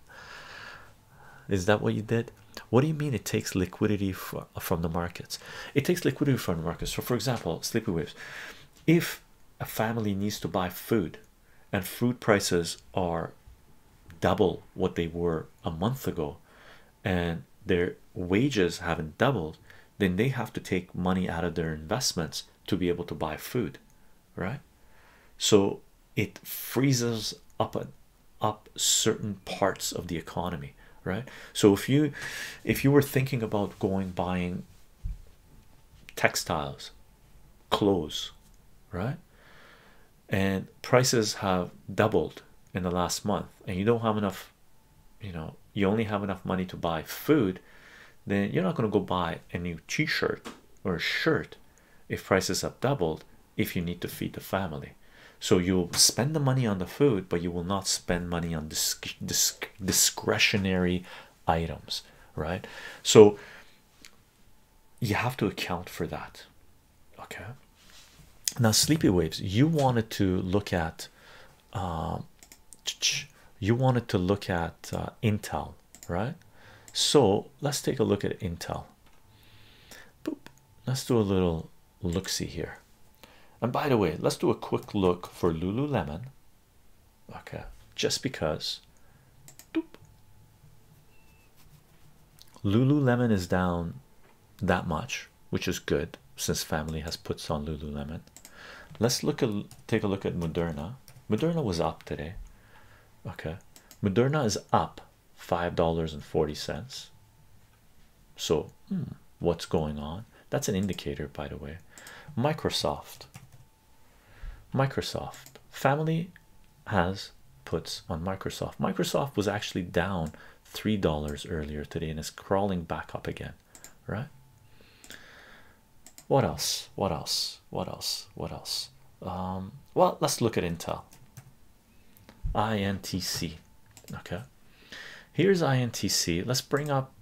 Is that what you did? What do you mean it takes liquidity from the markets? It takes liquidity from the markets. So, for example, sleepy waves. If a family needs to buy food and food prices are double what they were a month ago and their wages haven't doubled, then they have to take money out of their investments to be able to buy food, right? So it freezes up a, up certain parts of the economy, right? So if you if you were thinking about going buying textiles, clothes, right? and prices have doubled in the last month and you don't have enough you know you only have enough money to buy food then you're not going to go buy a new t-shirt or a shirt if prices have doubled if you need to feed the family so you'll spend the money on the food but you will not spend money on disc discretionary items right so you have to account for that. Okay, now sleepy waves, you wanted to look at, uh, you wanted to look at uh, Intel, right? So let's take a look at Intel. Boop. Let's do a little look see here. And by the way, let's do a quick look for Lululemon. Okay, just because. Doop. Lululemon is down that much, which is good since family has puts on Lululemon. Let's look at take a look at Moderna. Moderna was up today. Okay, Moderna is up five dollars and forty cents. So, hmm, what's going on? That's an indicator, by the way. Microsoft, Microsoft family has puts on Microsoft. Microsoft was actually down three dollars earlier today and is crawling back up again, right? What else? What else? What else? What else? Um, well, let's look at Intel. INTC. Okay, here's INTC. Let's bring up.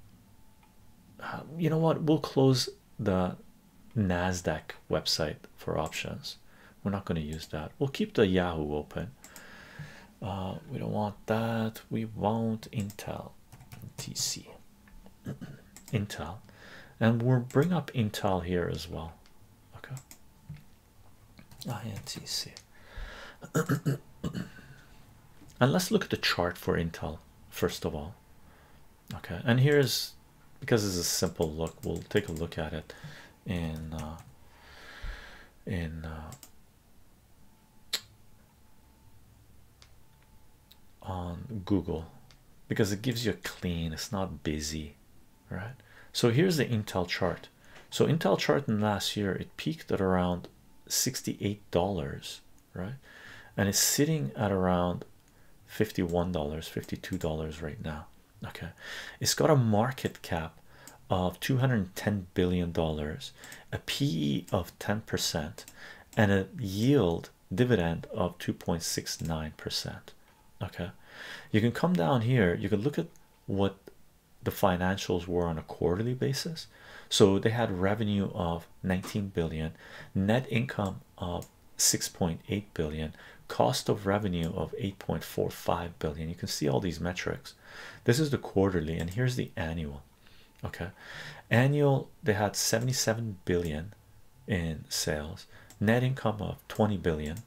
Uh, you know what? We'll close the NASDAQ website for options. We're not going to use that. We'll keep the Yahoo open. Uh, we don't want that. We want Intel, TC, <clears throat> Intel, and we'll bring up Intel here as well. Okay. INTC. Ah, <clears throat> and let's look at the chart for Intel first of all. Okay, and here's because it's a simple look. We'll take a look at it in in uh, uh, on Google because it gives you a clean it's not busy right so here's the Intel chart so Intel chart in last year it peaked at around $68 right and it's sitting at around $51 $52 right now okay it's got a market cap of 210 billion dollars a pe of 10 percent and a yield dividend of 2.69 percent okay you can come down here you can look at what the financials were on a quarterly basis so they had revenue of 19 billion net income of 6.8 billion cost of revenue of 8.45 billion you can see all these metrics this is the quarterly and here's the annual okay annual they had 77 billion in sales net income of 20 billion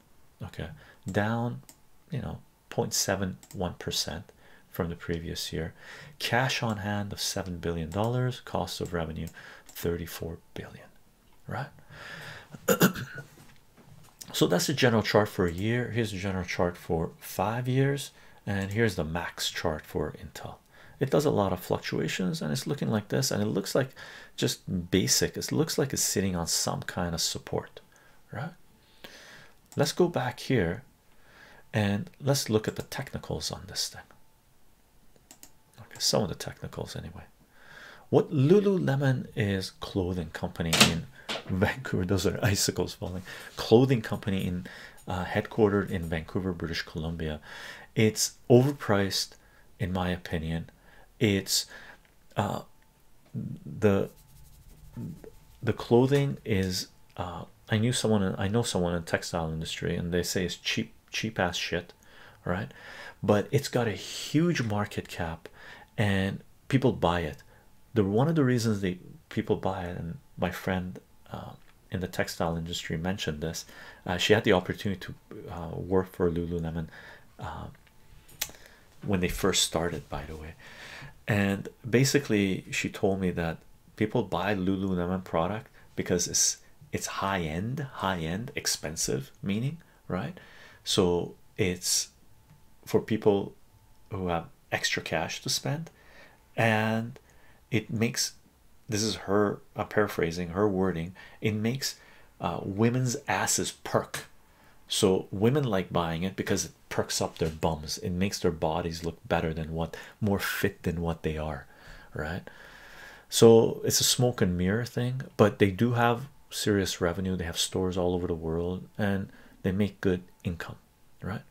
okay down you know 0.71 percent from the previous year cash on hand of 7 billion dollars cost of revenue 34 billion right <clears throat> so that's the general chart for a year here's the general chart for five years and here's the max chart for intel it does a lot of fluctuations and it's looking like this and it looks like just basic it looks like it's sitting on some kind of support right let's go back here and let's look at the technicals on this thing okay some of the technicals anyway what Lululemon is clothing company in Vancouver. Those are icicles falling. Clothing company in uh, headquartered in Vancouver, British Columbia. It's overpriced, in my opinion. It's uh, the the clothing is. Uh, I knew someone. I know someone in textile industry, and they say it's cheap, cheap ass shit, right? But it's got a huge market cap, and people buy it one of the reasons they people buy it and my friend uh, in the textile industry mentioned this uh, she had the opportunity to uh, work for lululemon when they first started by the way and basically she told me that people buy lululemon product because it's it's high end high end expensive meaning right so it's for people who have extra cash to spend and it makes this is her paraphrasing her wording it makes uh, women's asses perk so women like buying it because it perks up their bums it makes their bodies look better than what more fit than what they are right so it's a smoke and mirror thing but they do have serious revenue they have stores all over the world and they make good income, right?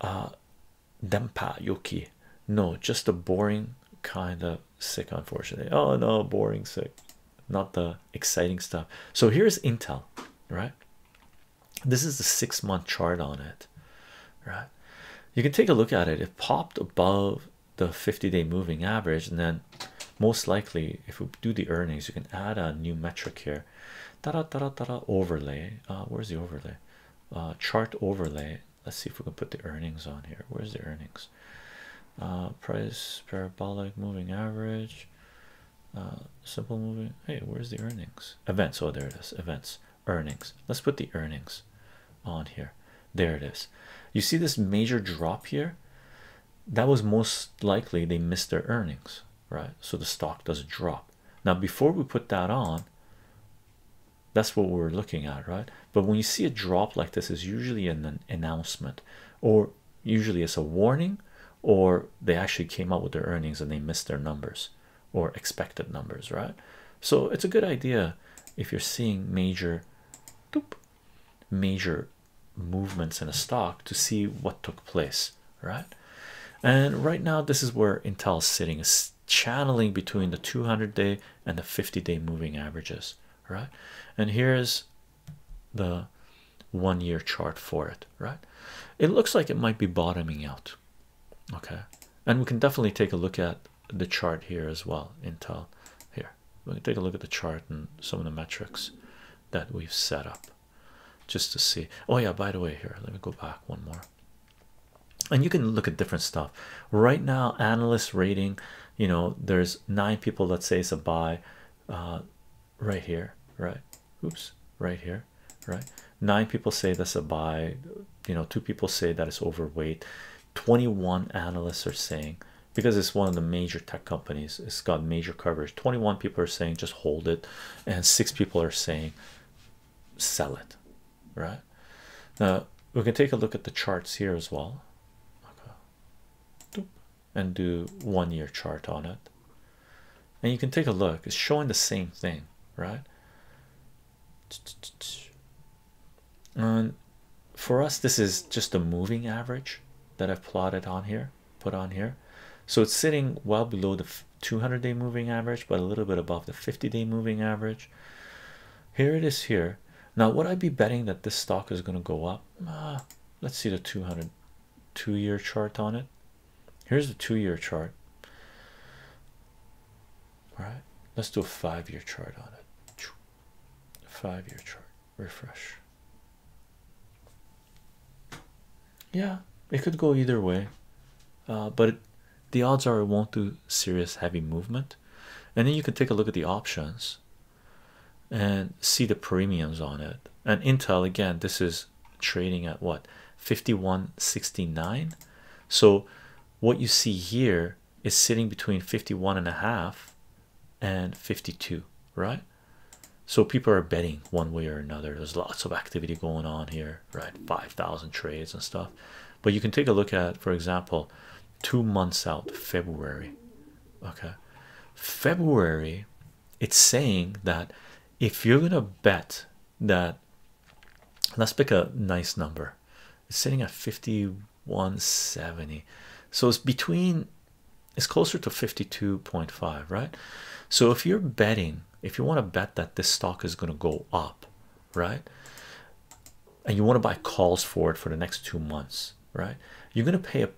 Uh, Dempa Yoki, no, just a boring kind of sick, unfortunately. Oh, no, boring sick, not the exciting stuff. So, here's Intel, right? This is the six month chart on it, right? You can take a look at it, it popped above the 50 day moving average and then most likely if we do the earnings you can add a new metric here da -da -da -da overlay uh, where's the overlay uh, chart overlay let's see if we can put the earnings on here where's the earnings uh, price parabolic moving average simple moving hey where's the earnings events oh there it is events earnings let's put the earnings on here there it is you see this major drop here that was most likely they missed their earnings, right? So the stock does drop. Now, before we put that on, that's what we're looking at, right? But when you see a drop like this, is usually an announcement, or usually it's a warning, or they actually came out with their earnings and they missed their numbers or expected numbers, right? So it's a good idea if you're seeing major, major movements in a stock to see what took place, right? And right now, this is where Intel is sitting, is channeling between the 200 day and the 50 day moving averages, right? And here's the one year chart for it, right? It looks like it might be bottoming out, okay? And we can definitely take a look at the chart here as well. Intel, here, we can take a look at the chart and some of the metrics that we've set up just to see. Oh, yeah, by the way, here, let me go back one more. And you can look at different stuff right now. Analyst rating, you know, there's nine people that say it's a buy, uh, right here, right? Oops, right here, right? Nine people say that's a buy, you know, two people say that it's overweight. 21 analysts are saying because it's one of the major tech companies it's got major coverage 21 people are saying just hold it and six people are saying sell it right now we can take a look at the charts here as well and do one year chart on it and you can take a look it's showing the same thing right and for us this is just a moving average that I've plotted on here put on here so it's sitting well below the 200 day moving average but a little bit above the 50 day moving average here it is here now would i be betting that this stock is going to go up uh, let's see the 200 two year chart on it here's the two year chart all right let's do a five year chart on it five year chart refresh yeah it could go either way uh, but the odds are it won't do serious heavy movement and then you can take a look at the options and see the premiums on it and intel again this is trading at what 5169 so what you see here is sitting between fifty one and a half and 52 right so people are betting one way or another there's lots of activity going on here right 5,000 trades and stuff but you can take a look at for example two months out February okay February it's saying that if you're gonna bet that let's pick a nice number it's sitting at 5170 so it's between it's closer to 52.5 right so if you're betting if you want to bet that this stock is going to go up right and you want to buy calls for it for the next two months right you're going to pay a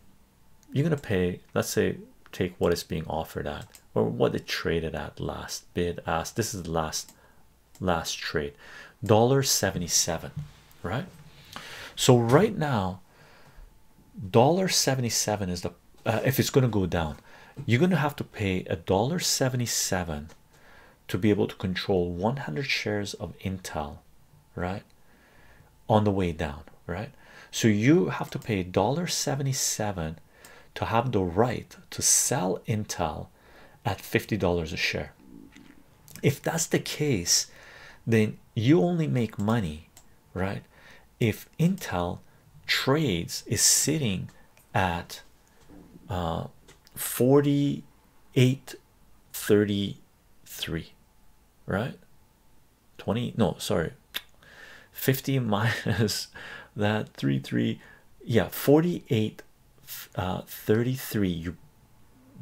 you're going to pay let's say take what is being offered at or what it traded at last bid ask. this is the last last trade dollar 77 right so right now dollar 77 is the uh, if it's going to go down you're going to have to pay a dollar 77 to be able to control 100 shares of intel right on the way down right so you have to pay dollar 77 to have the right to sell intel at $50 a share if that's the case then you only make money right if intel trades is sitting at uh, 4833 right 20 no sorry 50 <laughs> minus that uh, 33 yeah forty eight thirty three you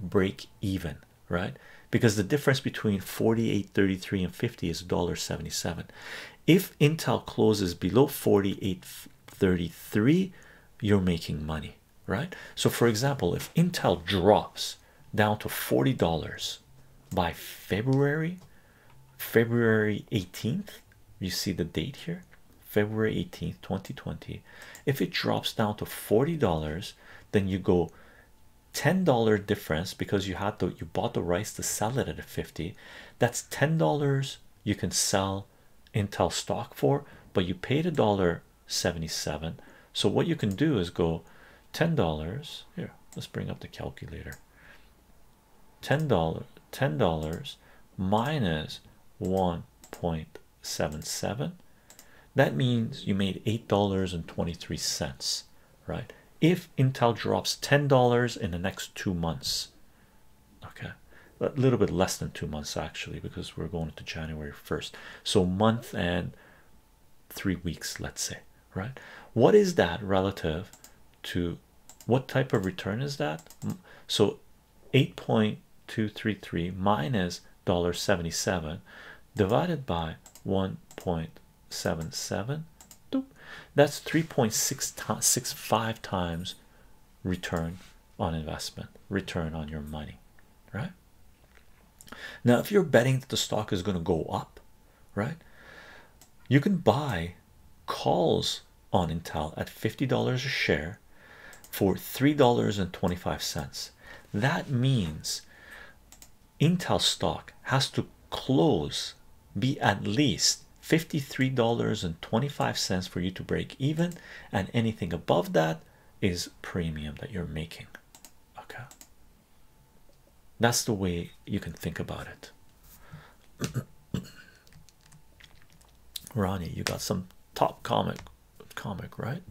break even right because the difference between 48.33 and 50 is $1.77. If Intel closes below 48.33, you're making money, right? So, for example, if Intel drops down to $40 by February, February 18th, you see the date here, February 18th, 2020. If it drops down to $40, then you go $10 difference because you had to you bought the rice to sell it at a 50 that's $10 you can sell Intel stock for but you paid a dollar 77 so what you can do is go $10 here let's bring up the calculator $10 $10 minus 1.77 that means you made eight dollars and 23 cents right if intel drops ten dollars in the next two months okay a little bit less than two months actually because we're going into january 1st so month and three weeks let's say right what is that relative to what type of return is that so 8.233 minus dollar 77 divided by 1.2 seven seven that's 3.665 times return on investment return on your money right now if you're betting that the stock is going to go up right you can buy calls on intel at $50 a share for $3.25 that means Intel stock has to close be at least $53.25 for you to break even, and anything above that is premium that you're making. Okay, that's the way you can think about it. <coughs> Ronnie, you got some top comic, comic, right?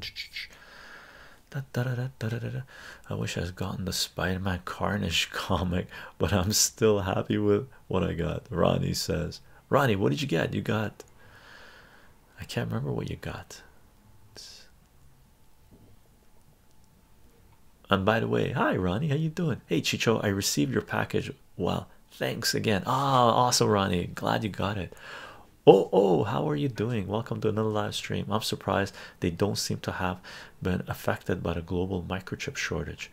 I wish I would gotten the Spider-Man Carnage <laughs> comic, but I'm still happy with what I got. Ronnie says, Ronnie, what did you get? You got I can't remember what you got. And by the way, hi Ronnie, how you doing? Hey Chicho, I received your package. Well, thanks again. Ah, awesome, Ronnie. Glad you got it. Oh, oh, how are you doing? Welcome to another live stream. I'm surprised they don't seem to have been affected by the global microchip shortage.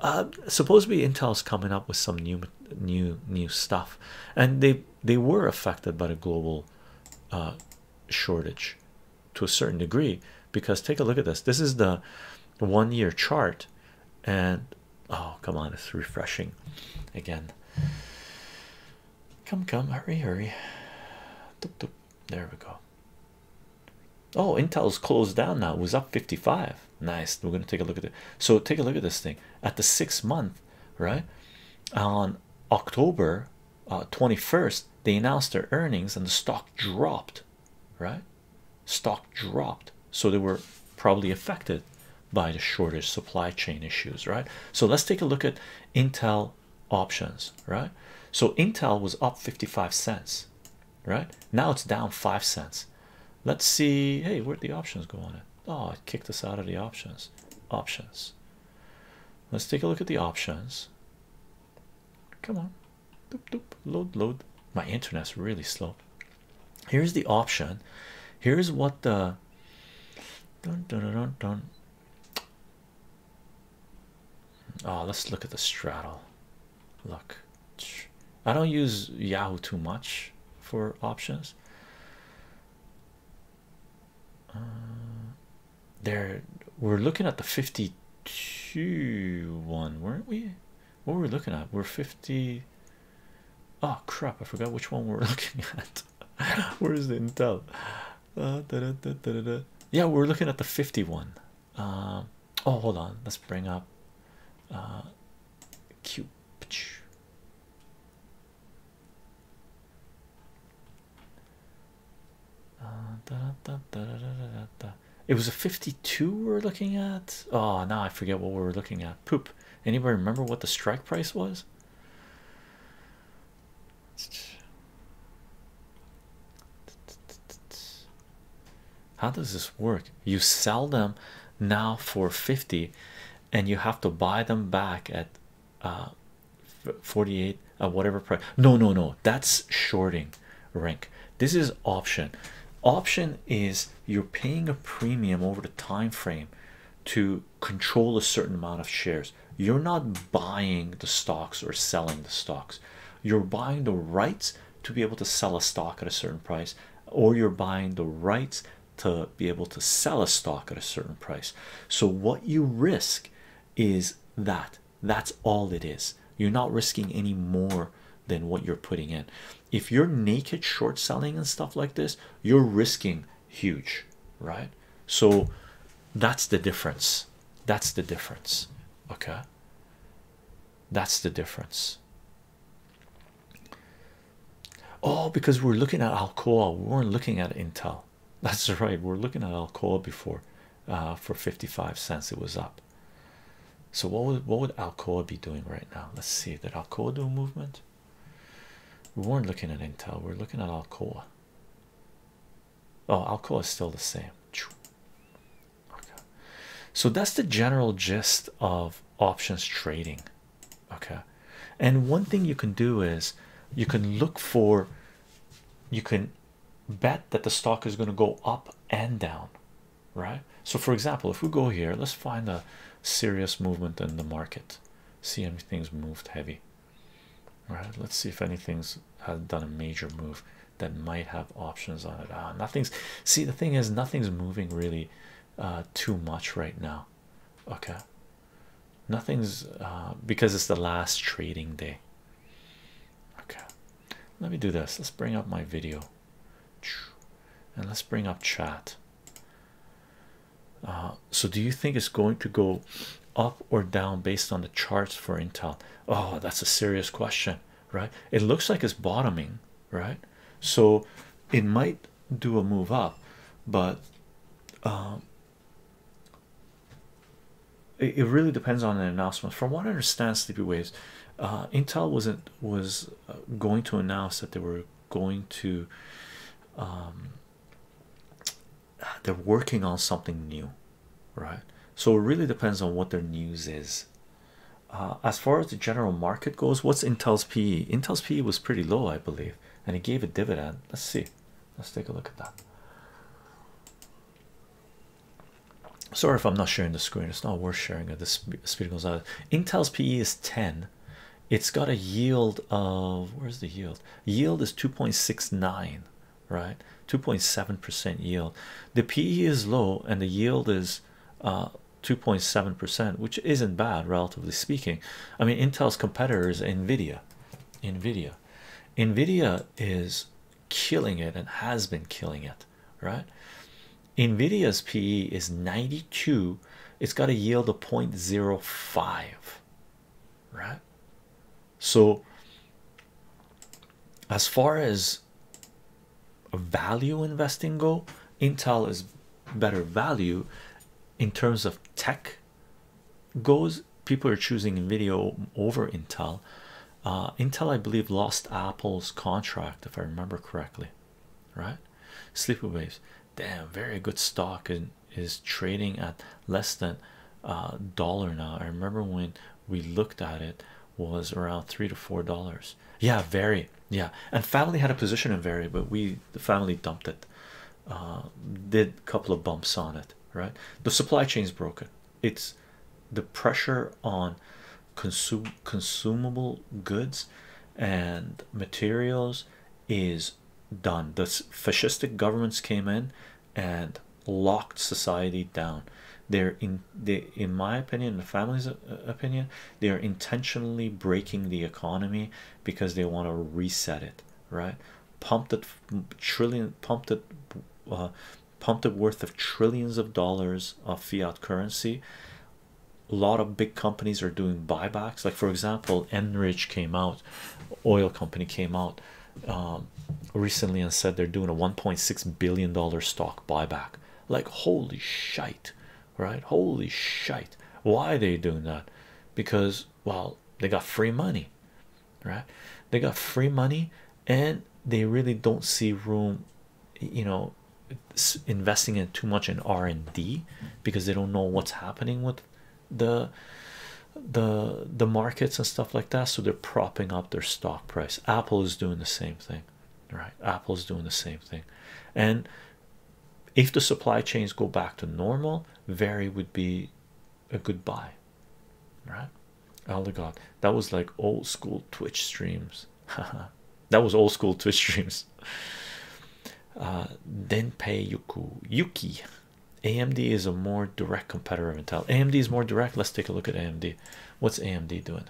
Uh, supposedly, Intel's coming up with some new, new, new stuff, and they they were affected by the global uh, shortage to a certain degree. Because take a look at this. This is the one-year chart, and oh come on, it's refreshing again. Come, come, hurry, hurry. Doop, doop. There we go. Oh, Intel's closed down now. It was up 55. Nice. We're gonna take a look at it. So take a look at this thing at the six month, right? On October 21st, uh, they announced their earnings and the stock dropped, right? Stock dropped. So they were probably affected by the shortage supply chain issues, right? So let's take a look at Intel options right so intel was up 55 cents right now it's down five cents let's see hey where'd the options go on it oh it kicked us out of the options options let's take a look at the options come on doop, doop. load load my internet's really slow here's the option here's what the dun, dun, dun, dun. Oh, let's look at the straddle. Look, I don't use Yahoo too much for options. Uh, there, we're looking at the 52 one, weren't we? What were we looking at? We're 50. Oh crap, I forgot which one we're <laughs> looking at. Where's the intel? Uh, yeah, we're looking at the 51. Uh, oh hold on let's bring up cube uh, uh, it was a 52 we're looking at oh now i forget what we were looking at poop anybody remember what the strike price was how does this work? You sell them now for 50 and you have to buy them back at uh, 48 at uh, whatever price. No, no, no, that's shorting Rink. This is option. Option is you're paying a premium over the time frame to control a certain amount of shares. You're not buying the stocks or selling the stocks you're buying the rights to be able to sell a stock at a certain price or you're buying the rights to be able to sell a stock at a certain price so what you risk is that that's all it is you're not risking any more than what you're putting in if you're naked short selling and stuff like this you're risking huge right so that's the difference that's the difference okay that's the difference. Oh, because we're looking at Alcoa, we weren't looking at Intel. <laughs> That's right, we're looking at Alcoa before uh, for 55 cents, it was up. So, what would what would Alcoa be doing right now? Let's see. Did Alcoa do a movement? We weren't looking at Intel, we're looking at Alcoa. Oh, alcohol is still the same. So that's the general gist of options trading. Okay. And one thing you can do is you can look for you can bet that the stock is going to go up and down, right? So, for example, if we go here, let's find a serious movement in the market, see anything's moved heavy, right? Let's see if anything's had uh, done a major move that might have options on it. Ah, nothing's see the thing is nothing's moving really uh too much right now. Okay. Nothing's uh because it's the last trading day. Okay. Let me do this. Let's bring up my video. And let's bring up chat. Uh, so do you think it's going to go up or down based on the charts for Intel? Oh, that's a serious question right it looks like it's bottoming right so it might do a move up but um it, really depends on an announcement from what i understand sleepy waves uh, intel wasn't was uh, going to announce that they were going to um they're working on something new right? So it really depends on what their news is. Uh, as far as the general market goes, what's Intel's PE? Intel's PE was pretty low, I believe, and it gave a dividend. Let's see. Let's take a look at that. Sorry if I'm not sharing the screen. It's not worth sharing at this speed goes out. Intel's PE is 10. It's got a yield of where's the yield? Yield is 2.69 right 2.7 percent yield the PE is low and the yield is uh, 2.7 percent which isn't bad relatively speaking I mean Intel's competitors Nvidia Nvidia Nvidia is killing it and has been killing it right Nvidia's PE is 92 it's got a yield of 0.05 right so as far as value investing go intel is better value in terms of tech goes people are choosing video over intel uh, intel i believe lost apple's contract if i remember correctly right sleepy waves damn very good stock and is trading at less than a uh, dollar now i remember when we looked at it was around three to four dollars. Yeah, very. Yeah, and family had a position in very, but we the family dumped it. Uh, did a couple of bumps on it, right? The supply chain is broken. It's the pressure on consume consumable goods and materials is done. The fascistic governments came in and locked society down they're in they in my opinion the family's uh, opinion they are intentionally breaking the economy because they want to reset it right pumped it trillion pumped it uh, pumped it worth of trillions of dollars of fiat currency a lot of big companies are doing buybacks like for example enrich came out oil company came out um, recently and said they're doing a 1.6 billion dollar stock buyback. Like holy shite, right? Holy shite. Why are they doing that? Because well, they got free money, right? They got free money and they really don't see room, you know, investing in too much in R&D because they don't know what's happening with the the the markets and stuff like that so they're propping up their stock price apple is doing the same thing thing right apple's doing the same thing and if the supply chains go back to normal very would be a good buy right oh my god that was like old school twitch streams <laughs> that was old school twitch streams uh, Then pay yuku yuki amd is a more direct competitor of intel amd is more direct let's take a look at amd what's amd doing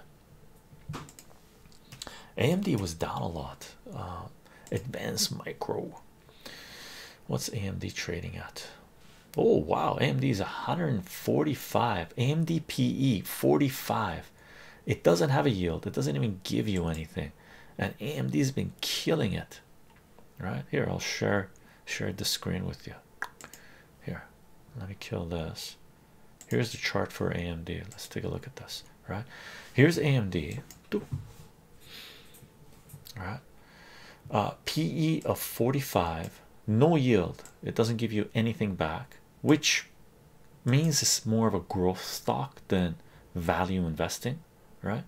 AMD was down a lot. Uh, advanced micro. What's AMD trading at? Oh wow, AMD is 145. AMD PE 45. It doesn't have a yield. It doesn't even give you anything. And AMD has been killing it. Right here, I'll share share the screen with you. Here, let me kill this. Here's the chart for AMD. Let's take a look at this. Right here's AMD. All right, uh, PE of 45, no yield. It doesn't give you anything back, which means it's more of a growth stock than value investing, right?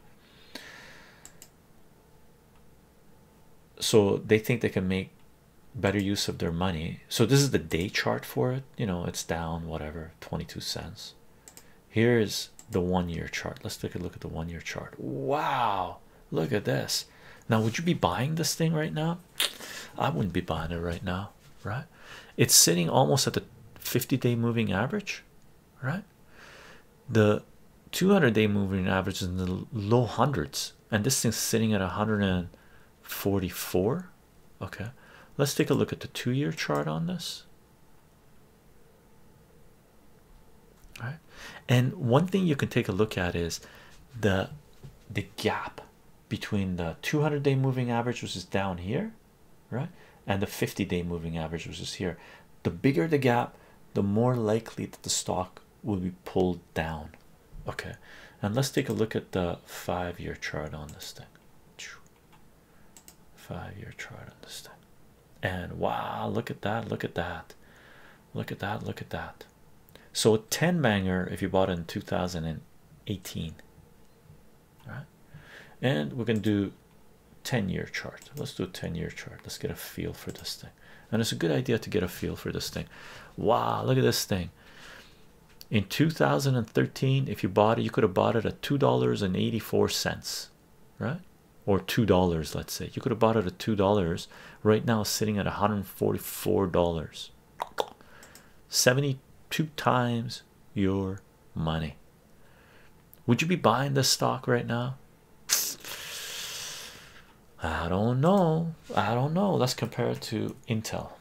So they think they can make better use of their money. So this is the day chart for it. You know, it's down whatever 22 cents. Here is the one-year chart. Let's take a look at the one-year chart. Wow, look at this. Now, would you be buying this thing right now? I wouldn't be buying it right now, right? It's sitting almost at the 50-day moving average, right? The 200-day moving average is in the low hundreds, and this thing's sitting at a 100 and 44 okay let's take a look at the two-year chart on this all right and one thing you can take a look at is the the gap between the 200-day moving average which is down here right and the 50-day moving average which is here the bigger the gap the more likely that the stock will be pulled down okay and let's take a look at the five-year chart on this thing five-year chart on this thing and wow look at that look at that look at that look at that so a 10 banger if you bought in 2018 all right and we're gonna do 10-year chart let's do a 10-year chart let's get a feel for this thing and it's a good idea to get a feel for this thing wow look at this thing in 2013 if you bought it you could have bought it at two dollars and 84 cents right or two dollars let's say you could have bought it at two dollars right now sitting at 144 dollars 72 times your money would you be buying this stock right now I don't know. I don't know. Let's compare it to Intel.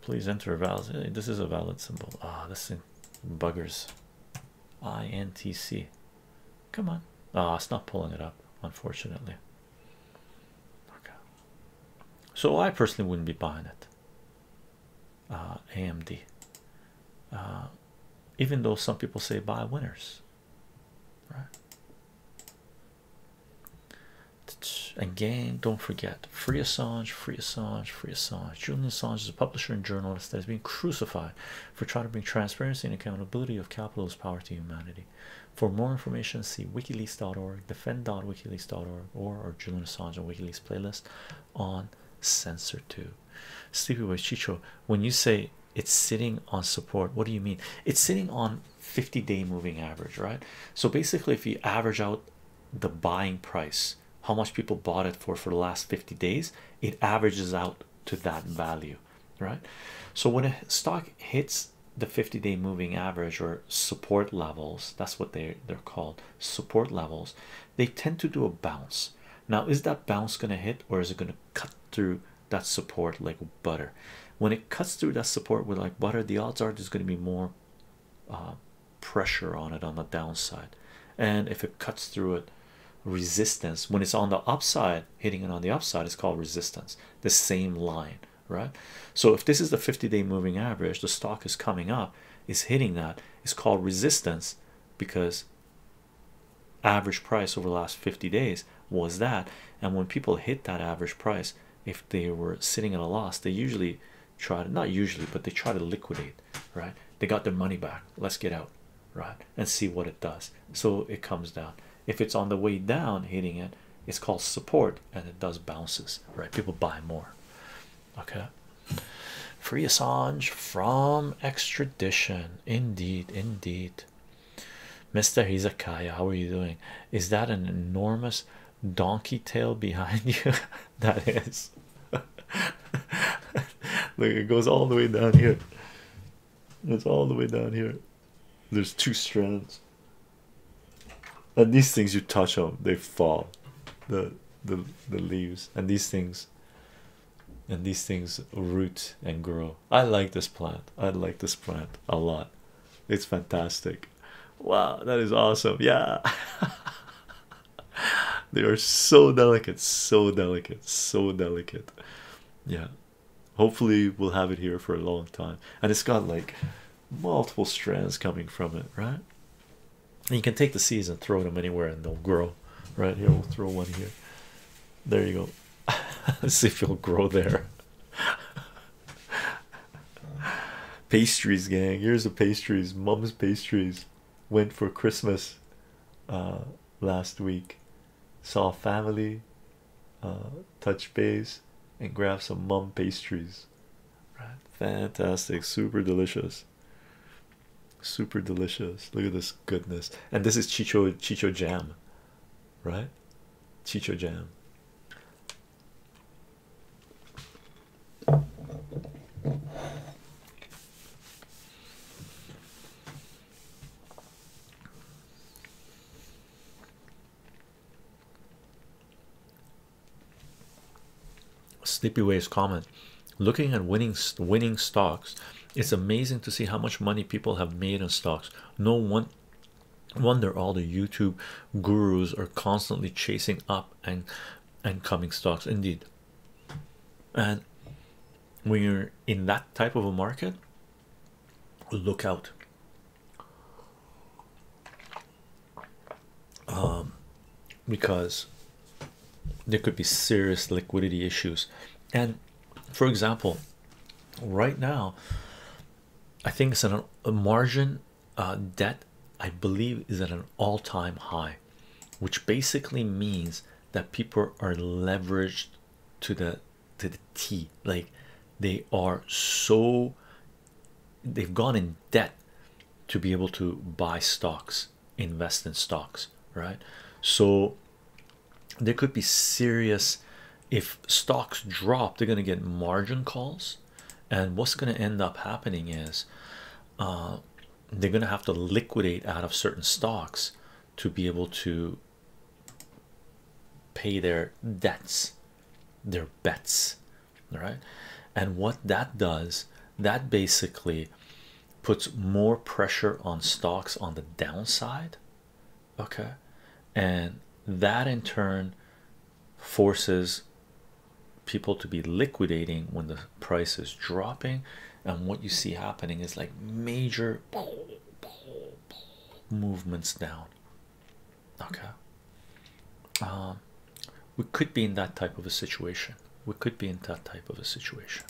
Please enter a valid. Eh, this is a valid symbol. Ah, oh, this thing buggers. INTC. Come on. Ah, oh, it's not pulling it up, unfortunately. Okay. So I personally wouldn't be buying it. Uh, ah, AMD. Uh, ah, even though some people say buy winners, right? Again, don't forget free Assange, free Assange, free Assange. Julian Assange is a publisher and journalist that has been crucified for trying to bring transparency and accountability of capitalist power to humanity. For more information, see wikileaks.org, defend.wikileaks.org, or our Julian Assange and WikiLeaks playlist on Censor 2. Sleepy Boy Chicho, when you say it's sitting on support what do you mean it's sitting on 50 day moving average right so basically if you average out the buying price how much people bought it for for the last 50 days it averages out to that value right so when a stock hits the 50 day moving average or support levels that's what they they're called support levels they tend to do a bounce now is that bounce going to hit or is it going to cut through that support like butter when it cuts through that support with like butter the odds are there's going to be more uh, pressure on it on the downside and if it cuts through it resistance when it's on the upside hitting it on the upside is called resistance the same line right so if this is the 50-day moving average the stock is coming up is hitting that. It's called resistance because average price over the last 50 days was that and when people hit that average price if they were sitting at a loss they usually try not usually but they try to liquidate right they got their money back let's get out right and see what it does so it comes down if it's on the way down hitting it it's called support and it does bounces right people buy more okay free assange from extradition indeed indeed Mr. Hizakaya, how are you doing? Is that an enormous donkey tail behind <laughs> you? that is. <laughs> Look, it goes all the way down here. It's all the way down here. There's two strands. And these things you touch them, they fall. The the the leaves and these things and these things root and grow I like this plant. I like this plant a lot. It's fantastic. Wow, that is awesome. Yeah. <laughs> they are so delicate, so delicate, so delicate. Yeah. Hopefully we'll have it here for a long time. And it's got like multiple strands coming from it, right? you can take the seeds and throw them anywhere and they'll grow. Right here, we'll throw one here. There you go. <laughs> See if you'll grow there. pastries, gang. Here's the pastries. Mum's pastries went for Christmas uh, last week. Saw family, uh, touch base, and grab some mum pastries. fantastic, super delicious. Super delicious. Look at this goodness. And this is Chicho Chicho Jam right? Chicho Jam. Sleepy Waves comment looking at winning winning stocks it's amazing to see how much money people have made in stocks no one wonder all the YouTube gurus are constantly chasing up and and coming stocks indeed and when you're in that type of a market look out um, because there could be serious liquidity issues and for example right now i think it's an a margin uh, debt i believe is at an all-time high which basically means that people are leveraged to the to the t like they are so they've gone in debt to be able to buy stocks invest in stocks right so there could be serious if stocks drop they're going to get margin calls and what's going to end up happening is uh, they're going to have to liquidate out of certain stocks to be able to pay their debts their bets all right and what that does that basically puts more pressure on stocks on the downside okay and that in turn forces people to be liquidating when the price is dropping and what you see happening is like major movements down okay um, we could be in that type of a situation we could be in that type of a situation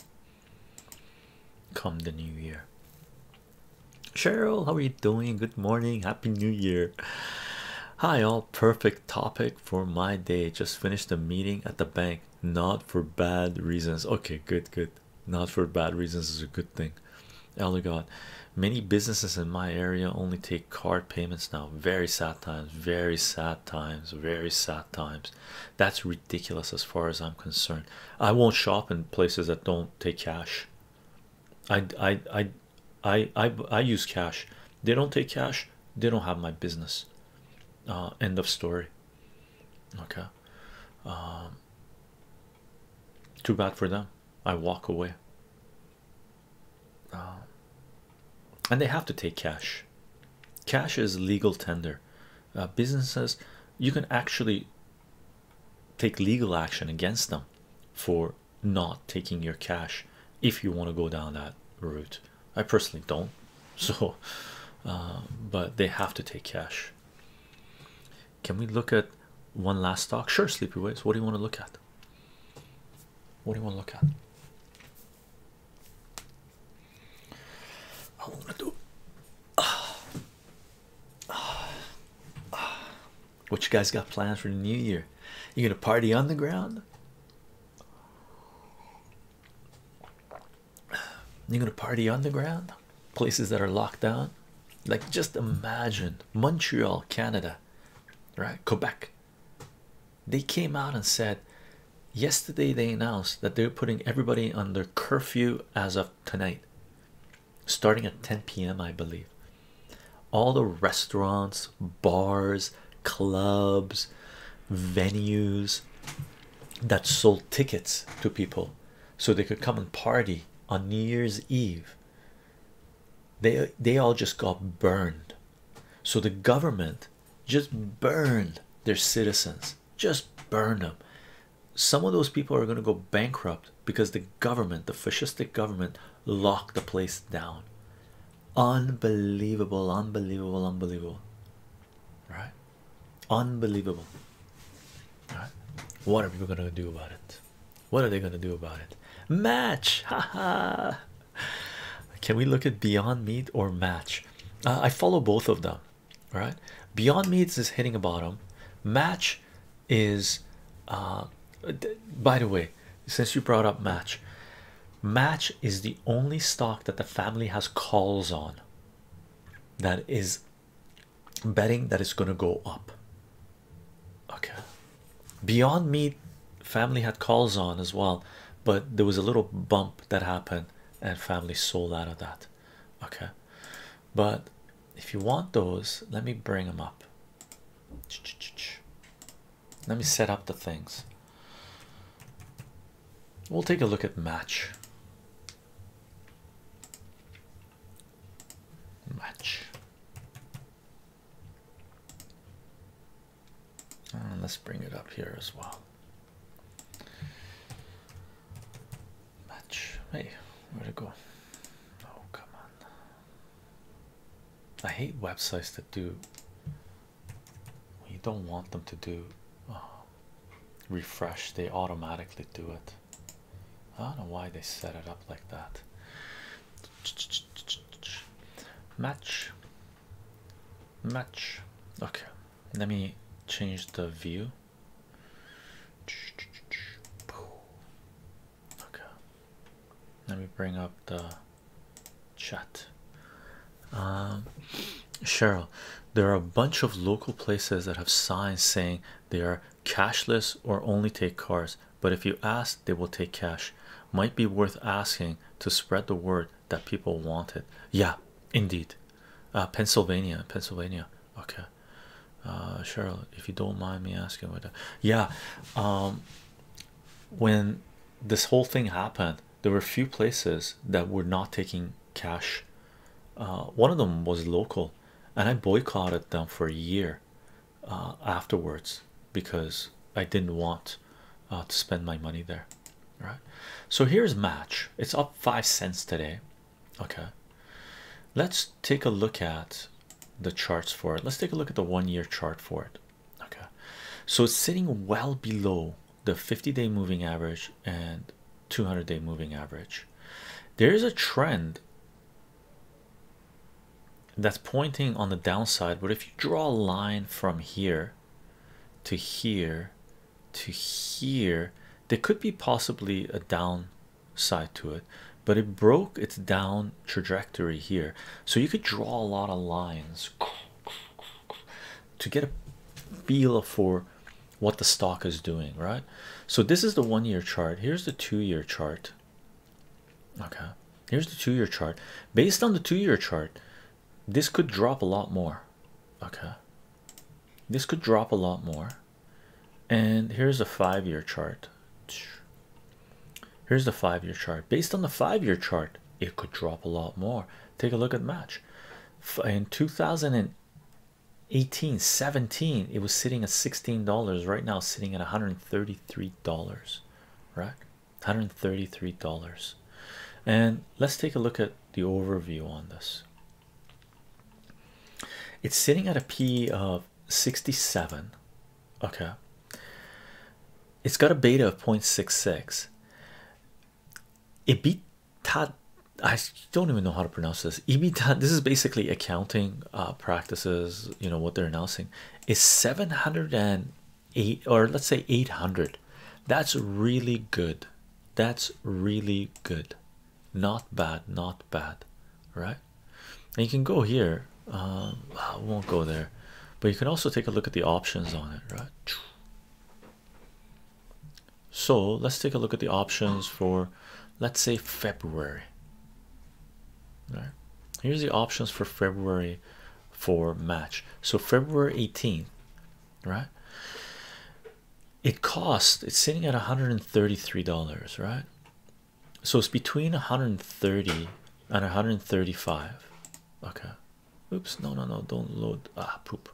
come the new year Cheryl, how are you doing? Good morning, happy new year. Hi, all perfect topic for my day. Just finished a meeting at the bank, not for bad reasons. Okay, good, good. Not for bad reasons is a good thing. Elder God, many businesses in my area only take card payments now. Very sad times, very sad times, very sad times. That's ridiculous as far as I'm concerned. I won't shop in places that don't take cash. I, I I I I use cash. They don't take cash. They don't have my business. Uh, end of story. Okay. Um, too bad for them. I walk away. Um, and they have to take cash. Cash is legal tender. Uh, businesses, you can actually take legal action against them for not taking your cash if you want to go down that route. I personally don't, <laughs> so uh, but they have to take cash. Can we look at one last stock? Sure, Sleepy Waves. What do you want to look at? What do you want to look at? I want to do. <sighs> What you guys got planned for the new year? You gonna party on the ground? you gonna party on the ground? Places that are locked down? Like just imagine Montreal, Canada, right? Quebec. They came out and said yesterday they announced that they're putting everybody under curfew as of tonight starting at 10 p.m. I believe. All the restaurants, bars, clubs, venues that sold tickets to people so they could come and party on New Year's Eve. They they all just got burned. So the government just burned their citizens, just burned them some of those people are going to go bankrupt because the government, the fascistic government, locked the place down. Unbelievable, unbelievable, unbelievable, right? Unbelievable. Right. What are people going to do about it? What are they going to do about it? Match, haha. <laughs> Can we look at Beyond Meat or Match? Uh, I follow both of them, right? Beyond Meat is hitting a bottom. Match is uh, by the way, since you brought up Match, Match is the only stock that the family has calls on that is betting that it's going to go up. Okay, Beyond Meat family had calls on as well, but there was a little bump that happened and family sold out of that. Okay, but if you want those, let me bring them up. Let me set up the things. We'll take a look at match. Match. let's bring it up here as well match. Hey, where to go? Oh, come on. I hate websites that do you don't want them to do uh, refresh, they automatically do it. I don't know why they set it up like that. Match, match. Okay, let me change the view. Okay, let me bring up the chat. Um, Cheryl, there are a bunch of local places that have signs saying they are cashless or only take cars, but if you ask, they will take cash. Might be worth asking to spread the word that people want it. Yeah, indeed. Uh, Pennsylvania, Pennsylvania. Okay, uh, Charlotte, if you don't mind me asking about that, yeah. Um, when this whole thing happened, there were a few places that were not taking cash. Uh, one of them was local, and I boycotted them for a year uh, afterwards because I didn't want to spend my money there. Right, so here's match, it's up five cents today. Okay, let's take a look at the charts for it let's take a look at the one-year chart for it okay so it's sitting well below the 50-day moving average and 200-day moving average there is a trend that's pointing on the downside but if you draw a line from here to here to here there could be possibly a down side to it but it broke its down trajectory here so you could draw a lot of lines to get a feel for what the stock is doing right so this is the one year chart here's the two year chart okay here's the two year chart based on the two year chart this could drop a lot more okay this could drop a lot more and here's a five-year chart here's the five-year chart based on the five-year chart it could drop a lot more take a look at match in 2018 17 it was sitting at $16 right now sitting at $133 right $133 and let's take a look at the overview on this it's sitting at a p of 67 okay it's got a beta of 0.66 ebitda i don't even know how to pronounce this ebitda this is basically accounting uh, practices you know what they're announcing is 708 or let's say 800 that's really good that's really good not bad not bad right and you can go here. Um, won't go there, but you can also take a look at the options on it, right? So let's take a look at the options for, let's say February. All right? Here's the options for February for match. So February 18th, right? It costs. It's sitting at 133 dollars, right? so it's between 130 and 135 okay oops no no no don't load ah poop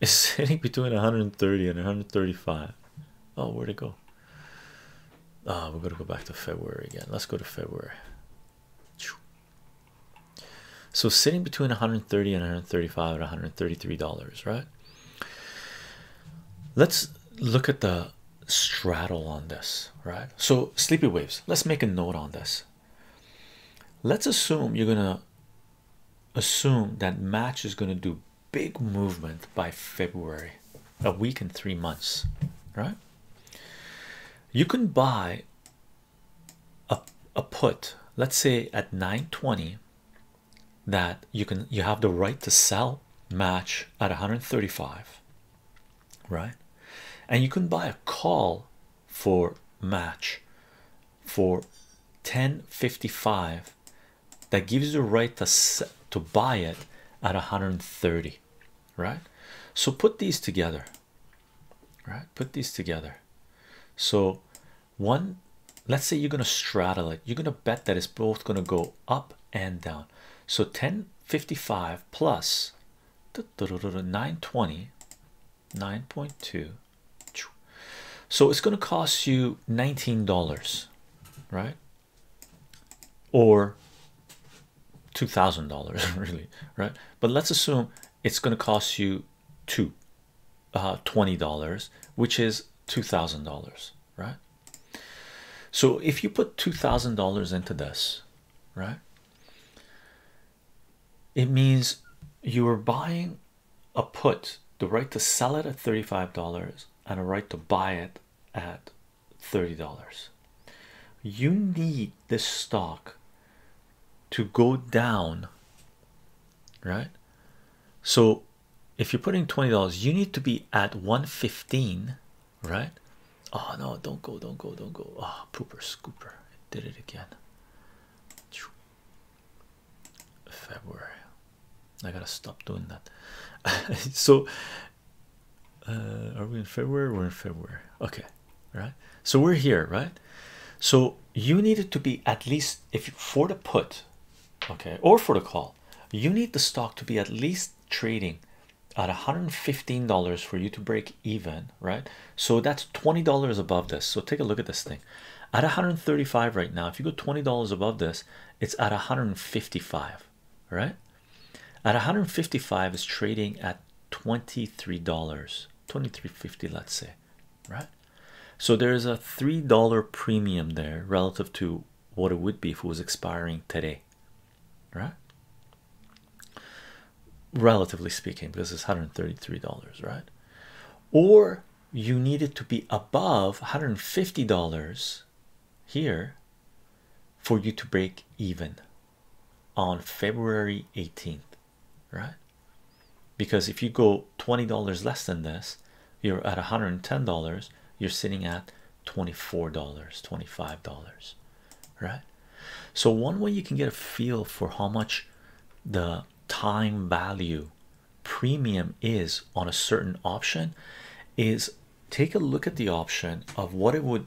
it's <laughs> sitting between 130 and 135 oh where'd it go ah we're gonna go back to February again let's go to February so sitting between 130 and 135 at 133 dollars right let's look at the straddle on this, right? So, sleepy waves, let's make a note on this. Let's assume you're gonna assume that match is gonna do big movement by February, a week and three months, right? You can buy a, a put, let's say at 920 that you can you have the right to sell match at 135 right and you can buy a call for match for 1055 that gives you the right to to buy it at 130 right so put these together right put these together so one let's say you're going to straddle it you're going to bet that it's both going to go up and down so 1055 plus 920 9.2 so it's going to cost you $19 right or $2,000 <laughs> really right but let's assume it's going to cost you two uh, dollars which is $2,000 right so if you put $2,000 into this, right? It means you are buying a put, the right to sell it at $35 and a right to buy it at $30. You need the stock to go down, right? So if you're putting $20, you need to be at 115 right? Oh no, don't go, don't go, don't go. oh, pooper scooper did it again. February, I gotta stop doing that. <laughs> so, uh, are we in February? We're in February, okay, right? So, we're here, right? So, you needed to be at least if you, for the put, okay, or for the call, you need the stock to be at least trading at $115 for you to break even, right? So that's $20 above this. So take a look at this thing at 135 dollars right now. If you go $20 above this, it's at 155, dollars right? At 155 dollars is trading at $23, 2350, let's say, right? So there is a $3 premium there relative to what it would be if it was expiring today, right? Relatively speaking, because it's $133, right? Or you need it to be above $150 here for you to break even on February 18th, right? Because if you go $20 less than this, you're at $110, you're sitting at $24 $25 right so one way you can get a feel for how much the time value premium is on a certain option is take a look at the option of what it would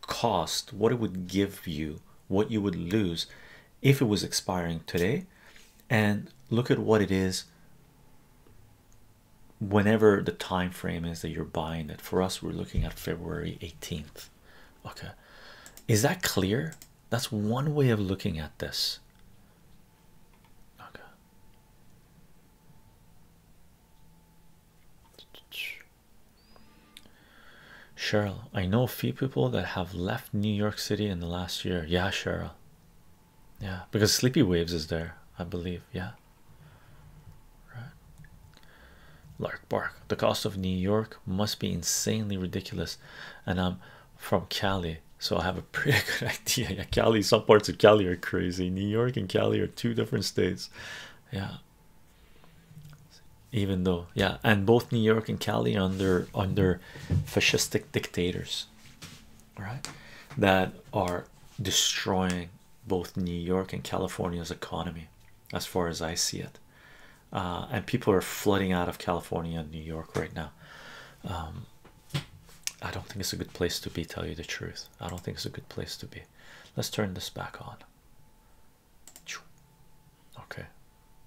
cost what it would give you what you would lose if it was expiring today and look at what it is whenever the time frame is that you're buying it for us we're looking at february 18th okay is that clear that's one way of looking at this okay cheryl i know a few people that have left new york city in the last year yeah cheryl yeah because sleepy waves is there i believe yeah Lark bark. The cost of New York must be insanely ridiculous, and I'm from Cali, so I have a pretty <laughs> good idea. Yeah, Cali. Some parts of Cali are crazy. New York and Cali are two different states. Yeah. Even though, yeah, and both New York and Cali under under fascistic dictators, right, that are destroying both New York and California's economy, as far as I see it. Uh, and people are flooding out of California and New York right now. Um, I don't think it's a good place to be, tell you the truth. I don't think it's a good place to be. Let's turn this back on. Okay,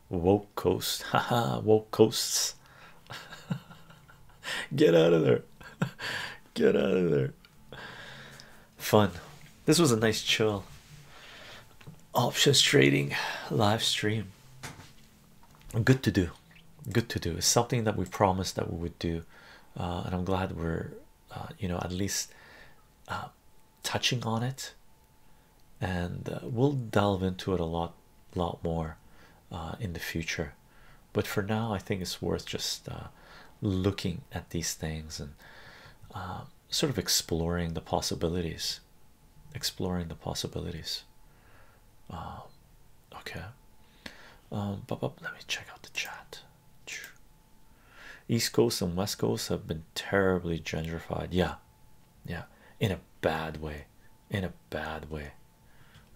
woke coast, <laughs> haha, woke coasts. <laughs> Get out of there, <laughs> get out of there. Fun. This was a nice chill options trading live stream. Good to do. Good to do. It's something that we promised that we would do, uh, and I'm glad we're, uh, you know, at least uh, touching on it. And we'll delve into it a lot, lot more in the future but for now, I think it's worth just uh, looking at these things and uh, sort of exploring the possibilities. Exploring the possibilities. Uh, okay. Um, but, but let me check out the chat. East Coast and West Coast have been terribly gentrified. Yeah, yeah, in a bad way. In a bad way,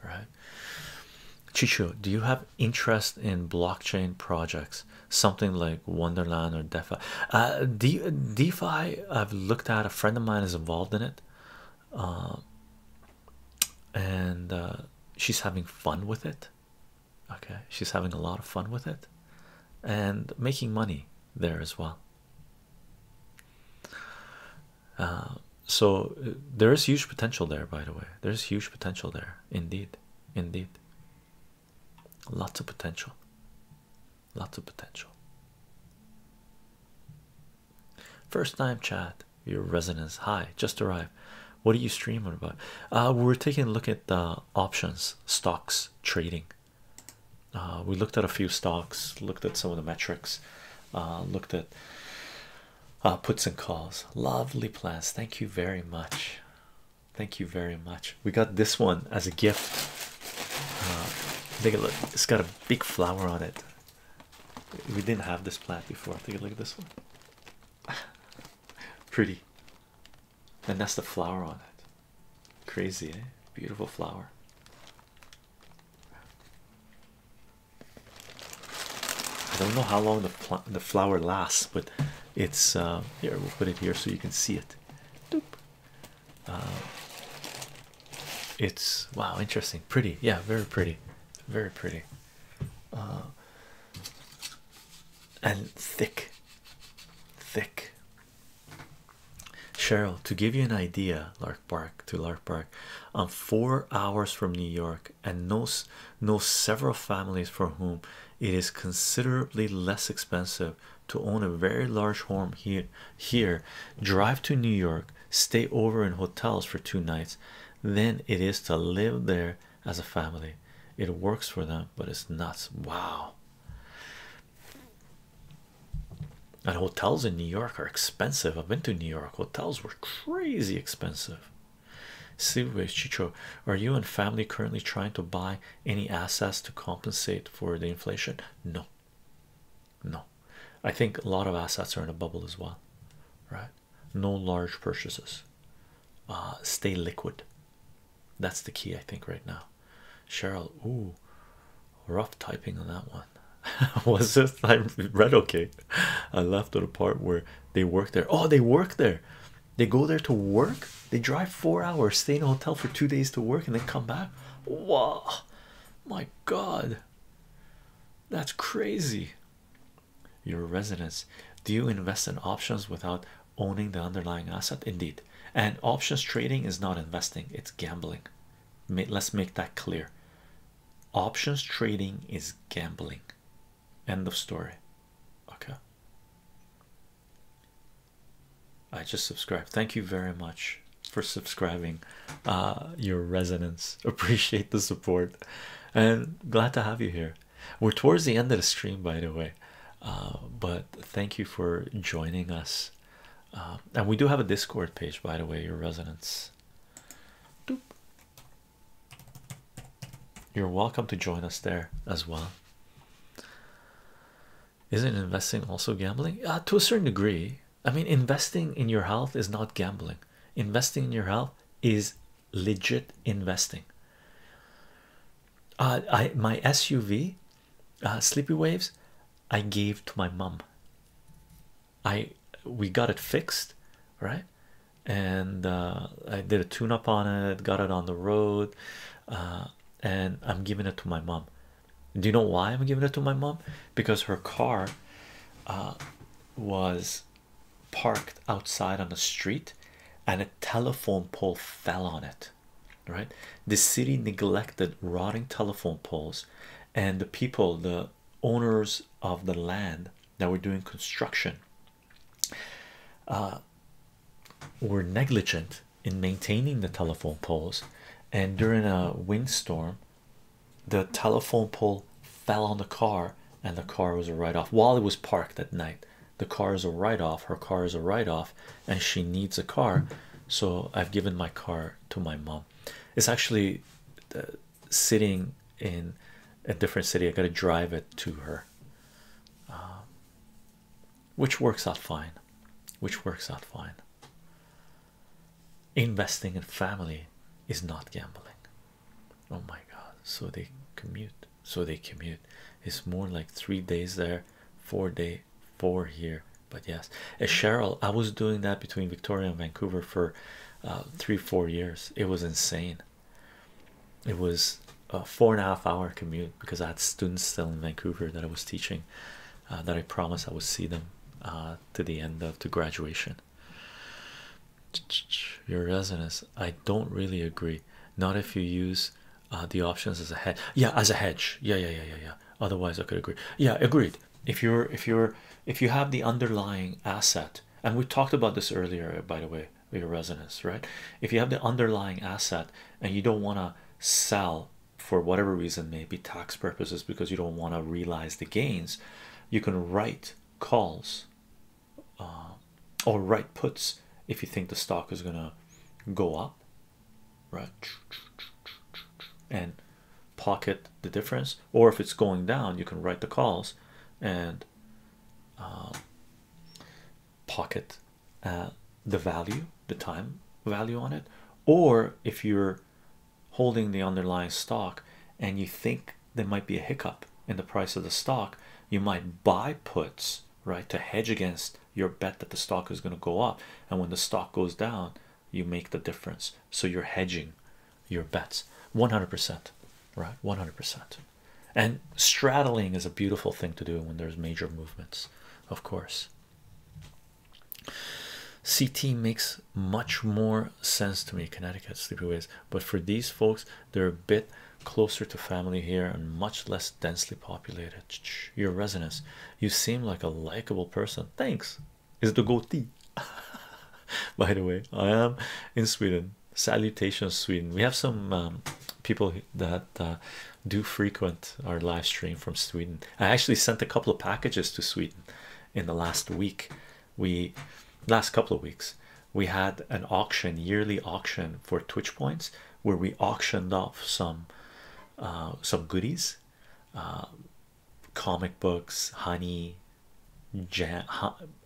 right? Chicho, do you have interest in blockchain projects? Something like Wonderland or DeFi? Uh, DeFi, I've looked at. A friend of mine is involved in it, um, and uh, she's having fun with it. Okay, she's having a lot of fun with it, and making money there as well. Uh, so there is huge potential there. By the way, there's huge potential there, indeed indeed. Lots of potential. Lots of potential. First time chat, your resonance high. just arrived. What are you streaming about? Uh, we're taking a look at the options, stocks, trading. Uh, we looked at a few stocks, looked at some of the metrics, uh, looked at uh, puts and calls. Lovely plants. Thank you very much. Thank you very much. We got this one as a gift. Ah, take a look. It's got a big flower on it. We didn't have this plant before. Take a look at this one. <laughs> Pretty. And that's the flower on it. Crazy, eh? Beautiful flower. I don't know how long the the flower lasts, but it's uh, here. We'll put it here so you can see it. Uh, it's wow, interesting, pretty. Yeah, very pretty, very pretty, uh, and thick, thick. Cheryl, to give you an idea, Lark Park to Lark Park, I'm four hours from New York and knows knows several families for whom it is considerably less expensive to own a very large home here here drive to New York stay over in hotels for two nights than it is to live there as a family it works for them but it's nuts wow and hotels in New York are expensive I've been to New York hotels were crazy expensive Sleepaway Chicho, are you and family currently trying to buy any assets to compensate for the inflation? No, no. I think a lot of assets are in a bubble as well, right? No large purchases. Uh, stay liquid. That's the key, I think, right now. Cheryl, ooh, rough typing on that one. <laughs> Was this I read okay? I left to the part where they work there. Oh, they work there. They go there to work, they drive four hours, stay in a hotel for two days to work, and then come back. Wow, my god, that's crazy. Your residence. Do you invest in options without owning the underlying asset? Indeed, and options trading is not investing, it's gambling. Let's make that clear. Options trading is gambling. End of story. Okay. I just subscribed. Thank you very much for subscribing. Uh, your resonance. <laughs> Appreciate the support and glad to have you here. We're towards the end of the stream, by the way. Uh, but thank you for joining us. Uh, and we do have a Discord page, by the way, your resonance. Doop. You're welcome to join us there as well. Isn't investing also gambling? Uh, to a certain degree. I mean, investing in your health is not gambling. Investing in your health is legit investing. Uh, I my SUV, uh, Sleepy Waves, I gave to my mom. I we got it fixed, right? and uh, I did a tune up on it, got it on the road, uh, and I'm giving it to my mom. Do you know why I'm giving it to my mom? Because her car uh, was parked outside on the street and a telephone pole fell on it. Right, the city neglected rotting telephone poles, and the people, the owners of the land that were doing construction uh, were negligent in maintaining the telephone poles, and during a windstorm, the telephone pole fell on the car, and the car was a write off while it was parked at night. The car is a write off, her car is a write off, and she needs a car. So, I've given my car to my mom. It's actually uh, sitting in a different city. I got to drive it to her. Um, which works out fine which works out fine investing in family is not gambling oh my god so they commute so they commute it's more like three days there four day four here but yes as uh, cheryl i was doing that between victoria and vancouver for uh, three four years it was insane it was a four and a half hour commute because I had students still in Vancouver that I was teaching, uh, that I promised I would see them uh, to the end of the graduation. Your resonance, I don't really agree. Not if you use uh, the options as a hedge. Yeah, as a hedge. Yeah, yeah, yeah, yeah, yeah. Otherwise, I could agree. Yeah, agreed. If you're, if you're, if you have the underlying asset, and we talked about this earlier, by the way, your residence right if you have the underlying asset and you don't want to sell for whatever reason maybe tax purposes because you don't want to realize the gains you can write calls uh, or write puts if you think the stock is gonna go up right and pocket the difference or if it's going down you can write the calls and um, pocket uh, the value, the time value on it, or if you're holding the underlying stock and you think there might be a hiccup in the price of the stock, you might buy puts right to hedge against your bet that the stock is going to go up, and when the stock goes down, you make the difference. So you're hedging your bets 100%, right? 100% and straddling is a beautiful thing to do when there's major movements of course ct makes much more sense to me connecticut sleepaways but for these folks they're a bit closer to family here and much less densely populated your resonance you seem like a likable person thanks is the goatee <laughs> by the way i am in sweden salutations Sweden. We have some um, people that uh, do frequent our live stream from Sweden. I actually sent a couple of packages to Sweden in the last week. We last couple of weeks we had an auction, yearly auction for Twitch points, where we auctioned off some uh, some goodies, uh, comic books, honey.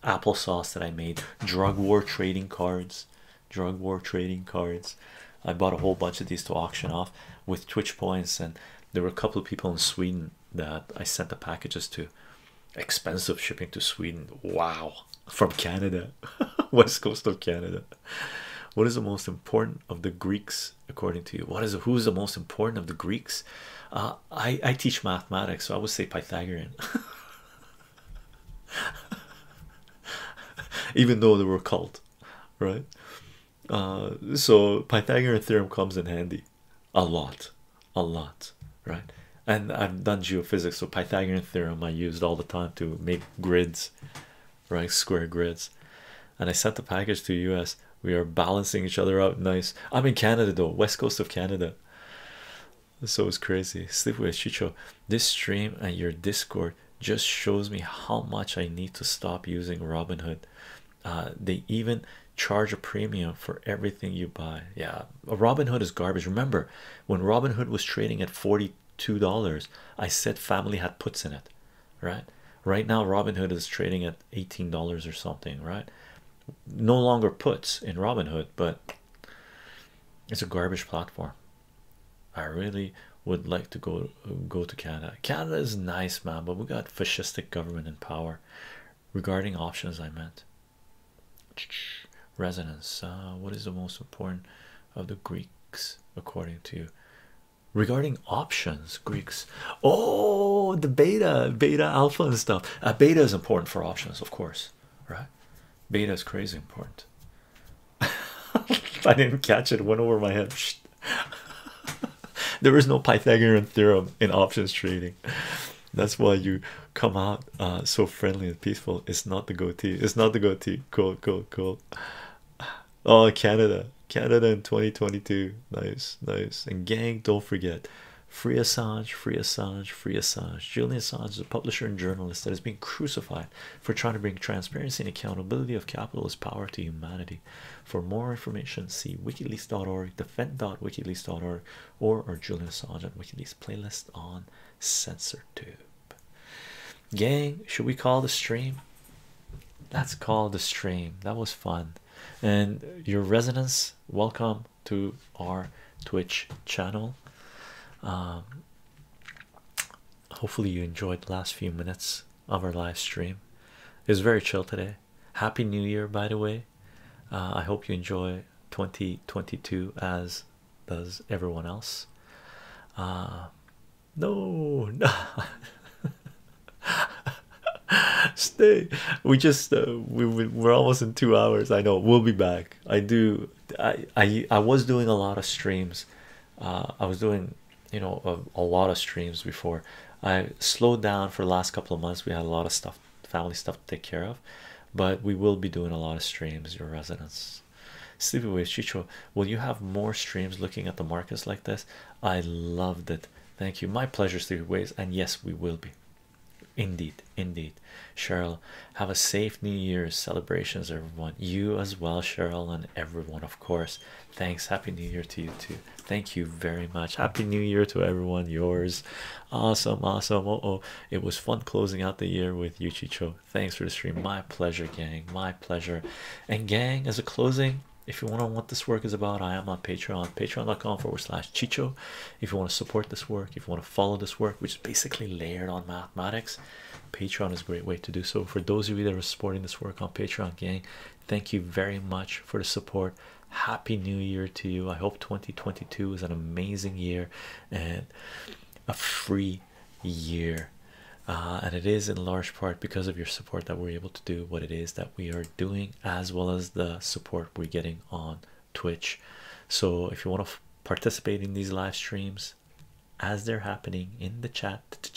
applesauce that I made, drug war trading cards, drug war trading cards. I bought a whole bunch of these to auction off with Twitch points, and there were a couple of people in Sweden that I sent the packages to. Expensive shipping to Sweden. Wow, from Canada, <laughs> west coast of Canada. What is the most important of the Greeks, according to you? What is who's the most important of the Greeks? Uh, I I teach mathematics, so I would say Pythagorean. <laughs> <laughs> even though they were cult, right? Uh, so Pythagorean theorem comes in handy a lot, a lot, right? And I've done geophysics, so Pythagorean theorem I used all the time to make grids, right? Square grids. And I sent the package to US. We are balancing each other out nice. I'm in Canada though, west coast of Canada so it's crazy sleep with chicho this stream and your discord just shows me how much i need to stop using robinhood uh, they even charge a premium for everything you buy yeah robinhood is garbage remember when robinhood was trading at 42 dollars i said family had puts in it right right now robinhood is trading at 18 dollars or something right no longer puts in robinhood but it's a garbage platform I really would like to go go to Canada. Canada is nice, man, but we got fascistic government in power. Regarding options, I meant resonance. Uh, what is the most important of the Greeks according to you? Regarding options, Greeks. Oh, the beta, beta, alpha, and stuff. Uh, beta is important for options, of course, right? Beta is crazy important. <laughs> I didn't catch it, went over my head. <laughs> there is no Pythagorean theorem in options trading. That's why you come out uh, so friendly and peaceful. It's not the goatee. It's not the goatee. Cool, cool, cool. Oh, Canada. Canada in 2022. Nice, nice. And gang, don't forget. Free Assange, free Assange, free Assange. Julian Assange is a publisher and journalist that is being crucified for trying to bring transparency and accountability of capitalist power to humanity. For more information, see wikileaks.org, defend.wikileaks.org, or our Julian Assange and Wikileaks playlist on Tube. Gang, should we call the stream? Let's call the stream. That was fun. And your residents, welcome to our Twitch channel. Um, Hopefully, you enjoyed the last few minutes of our live stream. It was very chill today. Happy New Year, by the way. Uh, I hope you enjoy 2022 as does everyone else. Uh, no, <laughs> no. Stay. We just uh, we we're almost in two hours. I know we'll be back. I do I, I I was doing a lot of streams. Uh, I was doing you know a, lot of streams before. I slowed down for the last couple of months. We had a lot of stuff, family stuff to take care of, but we will be doing a lot of streams. Your residents, sleepaway Chicho. Will you have more streams looking at the markets like this? I loved it. Thank you. My pleasure, sleepaways. And yes, we will be. Indeed, indeed. Cheryl, have a safe New Year's celebrations, everyone. You as well, Cheryl, and everyone, of course. Thanks. Happy New Year to you too. Thank you very much. Happy New Year to everyone. Yours. Awesome, awesome. oh, it was fun closing out the year with you, Cho. Thanks for the stream. My pleasure, gang. My pleasure. And gang, as a closing, if you want to know what this work is about, I am on Patreon, patreon.com forward slash Chicho. If you want to support this work, if you want to follow this work, which is basically layered on mathematics, Patreon is a great way to do so. For those of you that are supporting this work on Patreon, gang, thank you very much for the support. Happy New Year to you. I hope 2022 is an amazing year and a free year. Uh, and it is in large part because of your support that we're able to do what it is that we are doing, as well as the support we're getting on Twitch. So, if you want to participate in these live streams, as they're happening in the chat.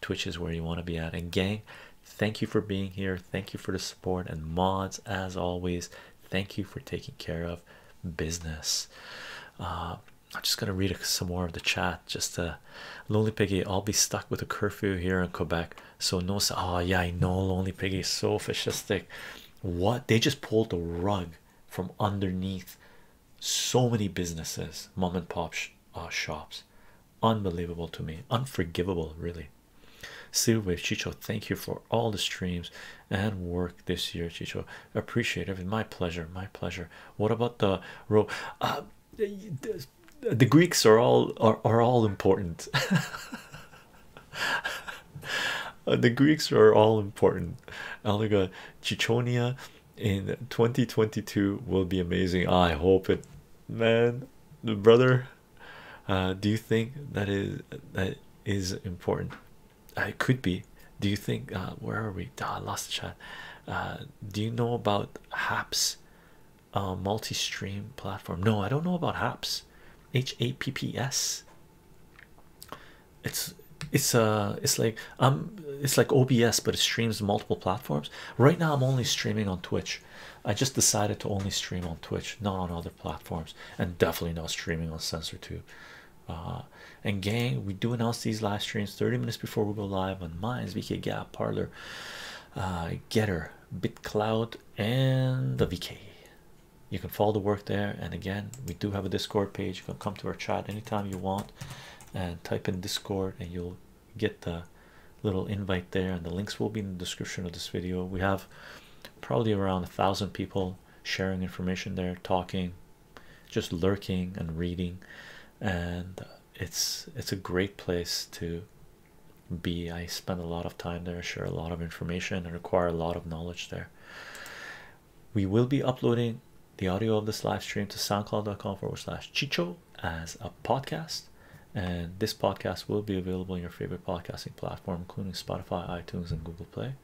Twitch is where you want to be at. And gang, thank you for being here. Thank you for the support and mods as always. Thank you for taking care of business. Uh, I'm just gonna read some more of the chat. Just uh, lonely piggy. I'll be stuck with a curfew here in Quebec, so no. Oh yeah, I know. Lonely piggy is so fascist. What they just pulled the rug from underneath so many businesses mom and pop uh, shops unbelievable to me unforgivable really silver chicho thank you for all the streams and work this year chicho appreciate it my pleasure my pleasure what about the row uh, the, greeks are all are, are all important <laughs> uh, the greeks are all important Eliga chichonia in 2022 will be amazing. I hope it, man, brother. Uh, do you think that is that is important? it could be. Do you think? Uh, where are we? I lost chat. Uh, do you know about Haps, uh, multi-stream platform? No, I don't know about Haps. H A P P S it's it's uh it's like um it's like OBS but it streams multiple platforms right now I'm only streaming on Twitch I just decided to only stream on Twitch not on other platforms and definitely not streaming on SensorTube uh and gang we do announce these live streams 30 minutes before we go live on Minds VK Gap Parlor uh Getter BitCloud and the VK you can follow the work there and again we do have a discord page you can come to our chat anytime you want and uh, type in Discord, and you'll get the little invite there. And the links will be in the description of this video. We have probably around a thousand people sharing information there, talking, just lurking and reading, and it's it's a great place to be. I spend a lot of time there, share a lot of information, and require a lot of knowledge there we will be uploading the audio of this live stream to soundcloud.com forward slash chicho as a podcast and this podcast will be available on your favorite podcasting platform including spotify itunes and google play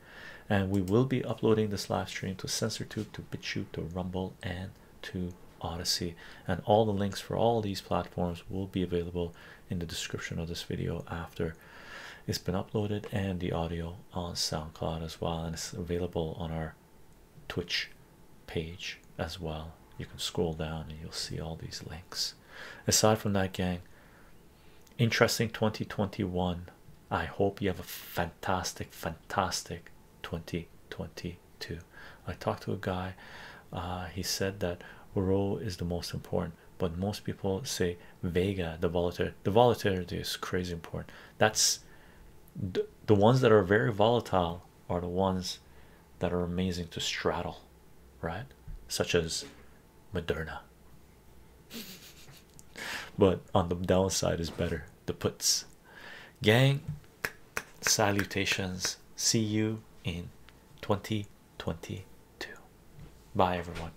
and we will be uploading this live stream to censortube to bitchute to rumble and to odyssey and all the links for all these platforms will be available in the description of this video after it's been uploaded and the audio on SoundCloud as well, and it's available on our Twitch page as well. You can scroll down and you'll see all these links. Aside from that, gang, interesting 2021. I hope you have a fantastic, fantastic 2022. I talked to a guy, uh, he said that Roe is the most important, but most people say Vega, the volatility. The volatility is crazy important. That's the, the ones that are very volatile are the ones that are amazing to straddle, right? Such as Moderna, but on the downside is better. The puts, gang, salutations. See you in 2022. Bye, everyone.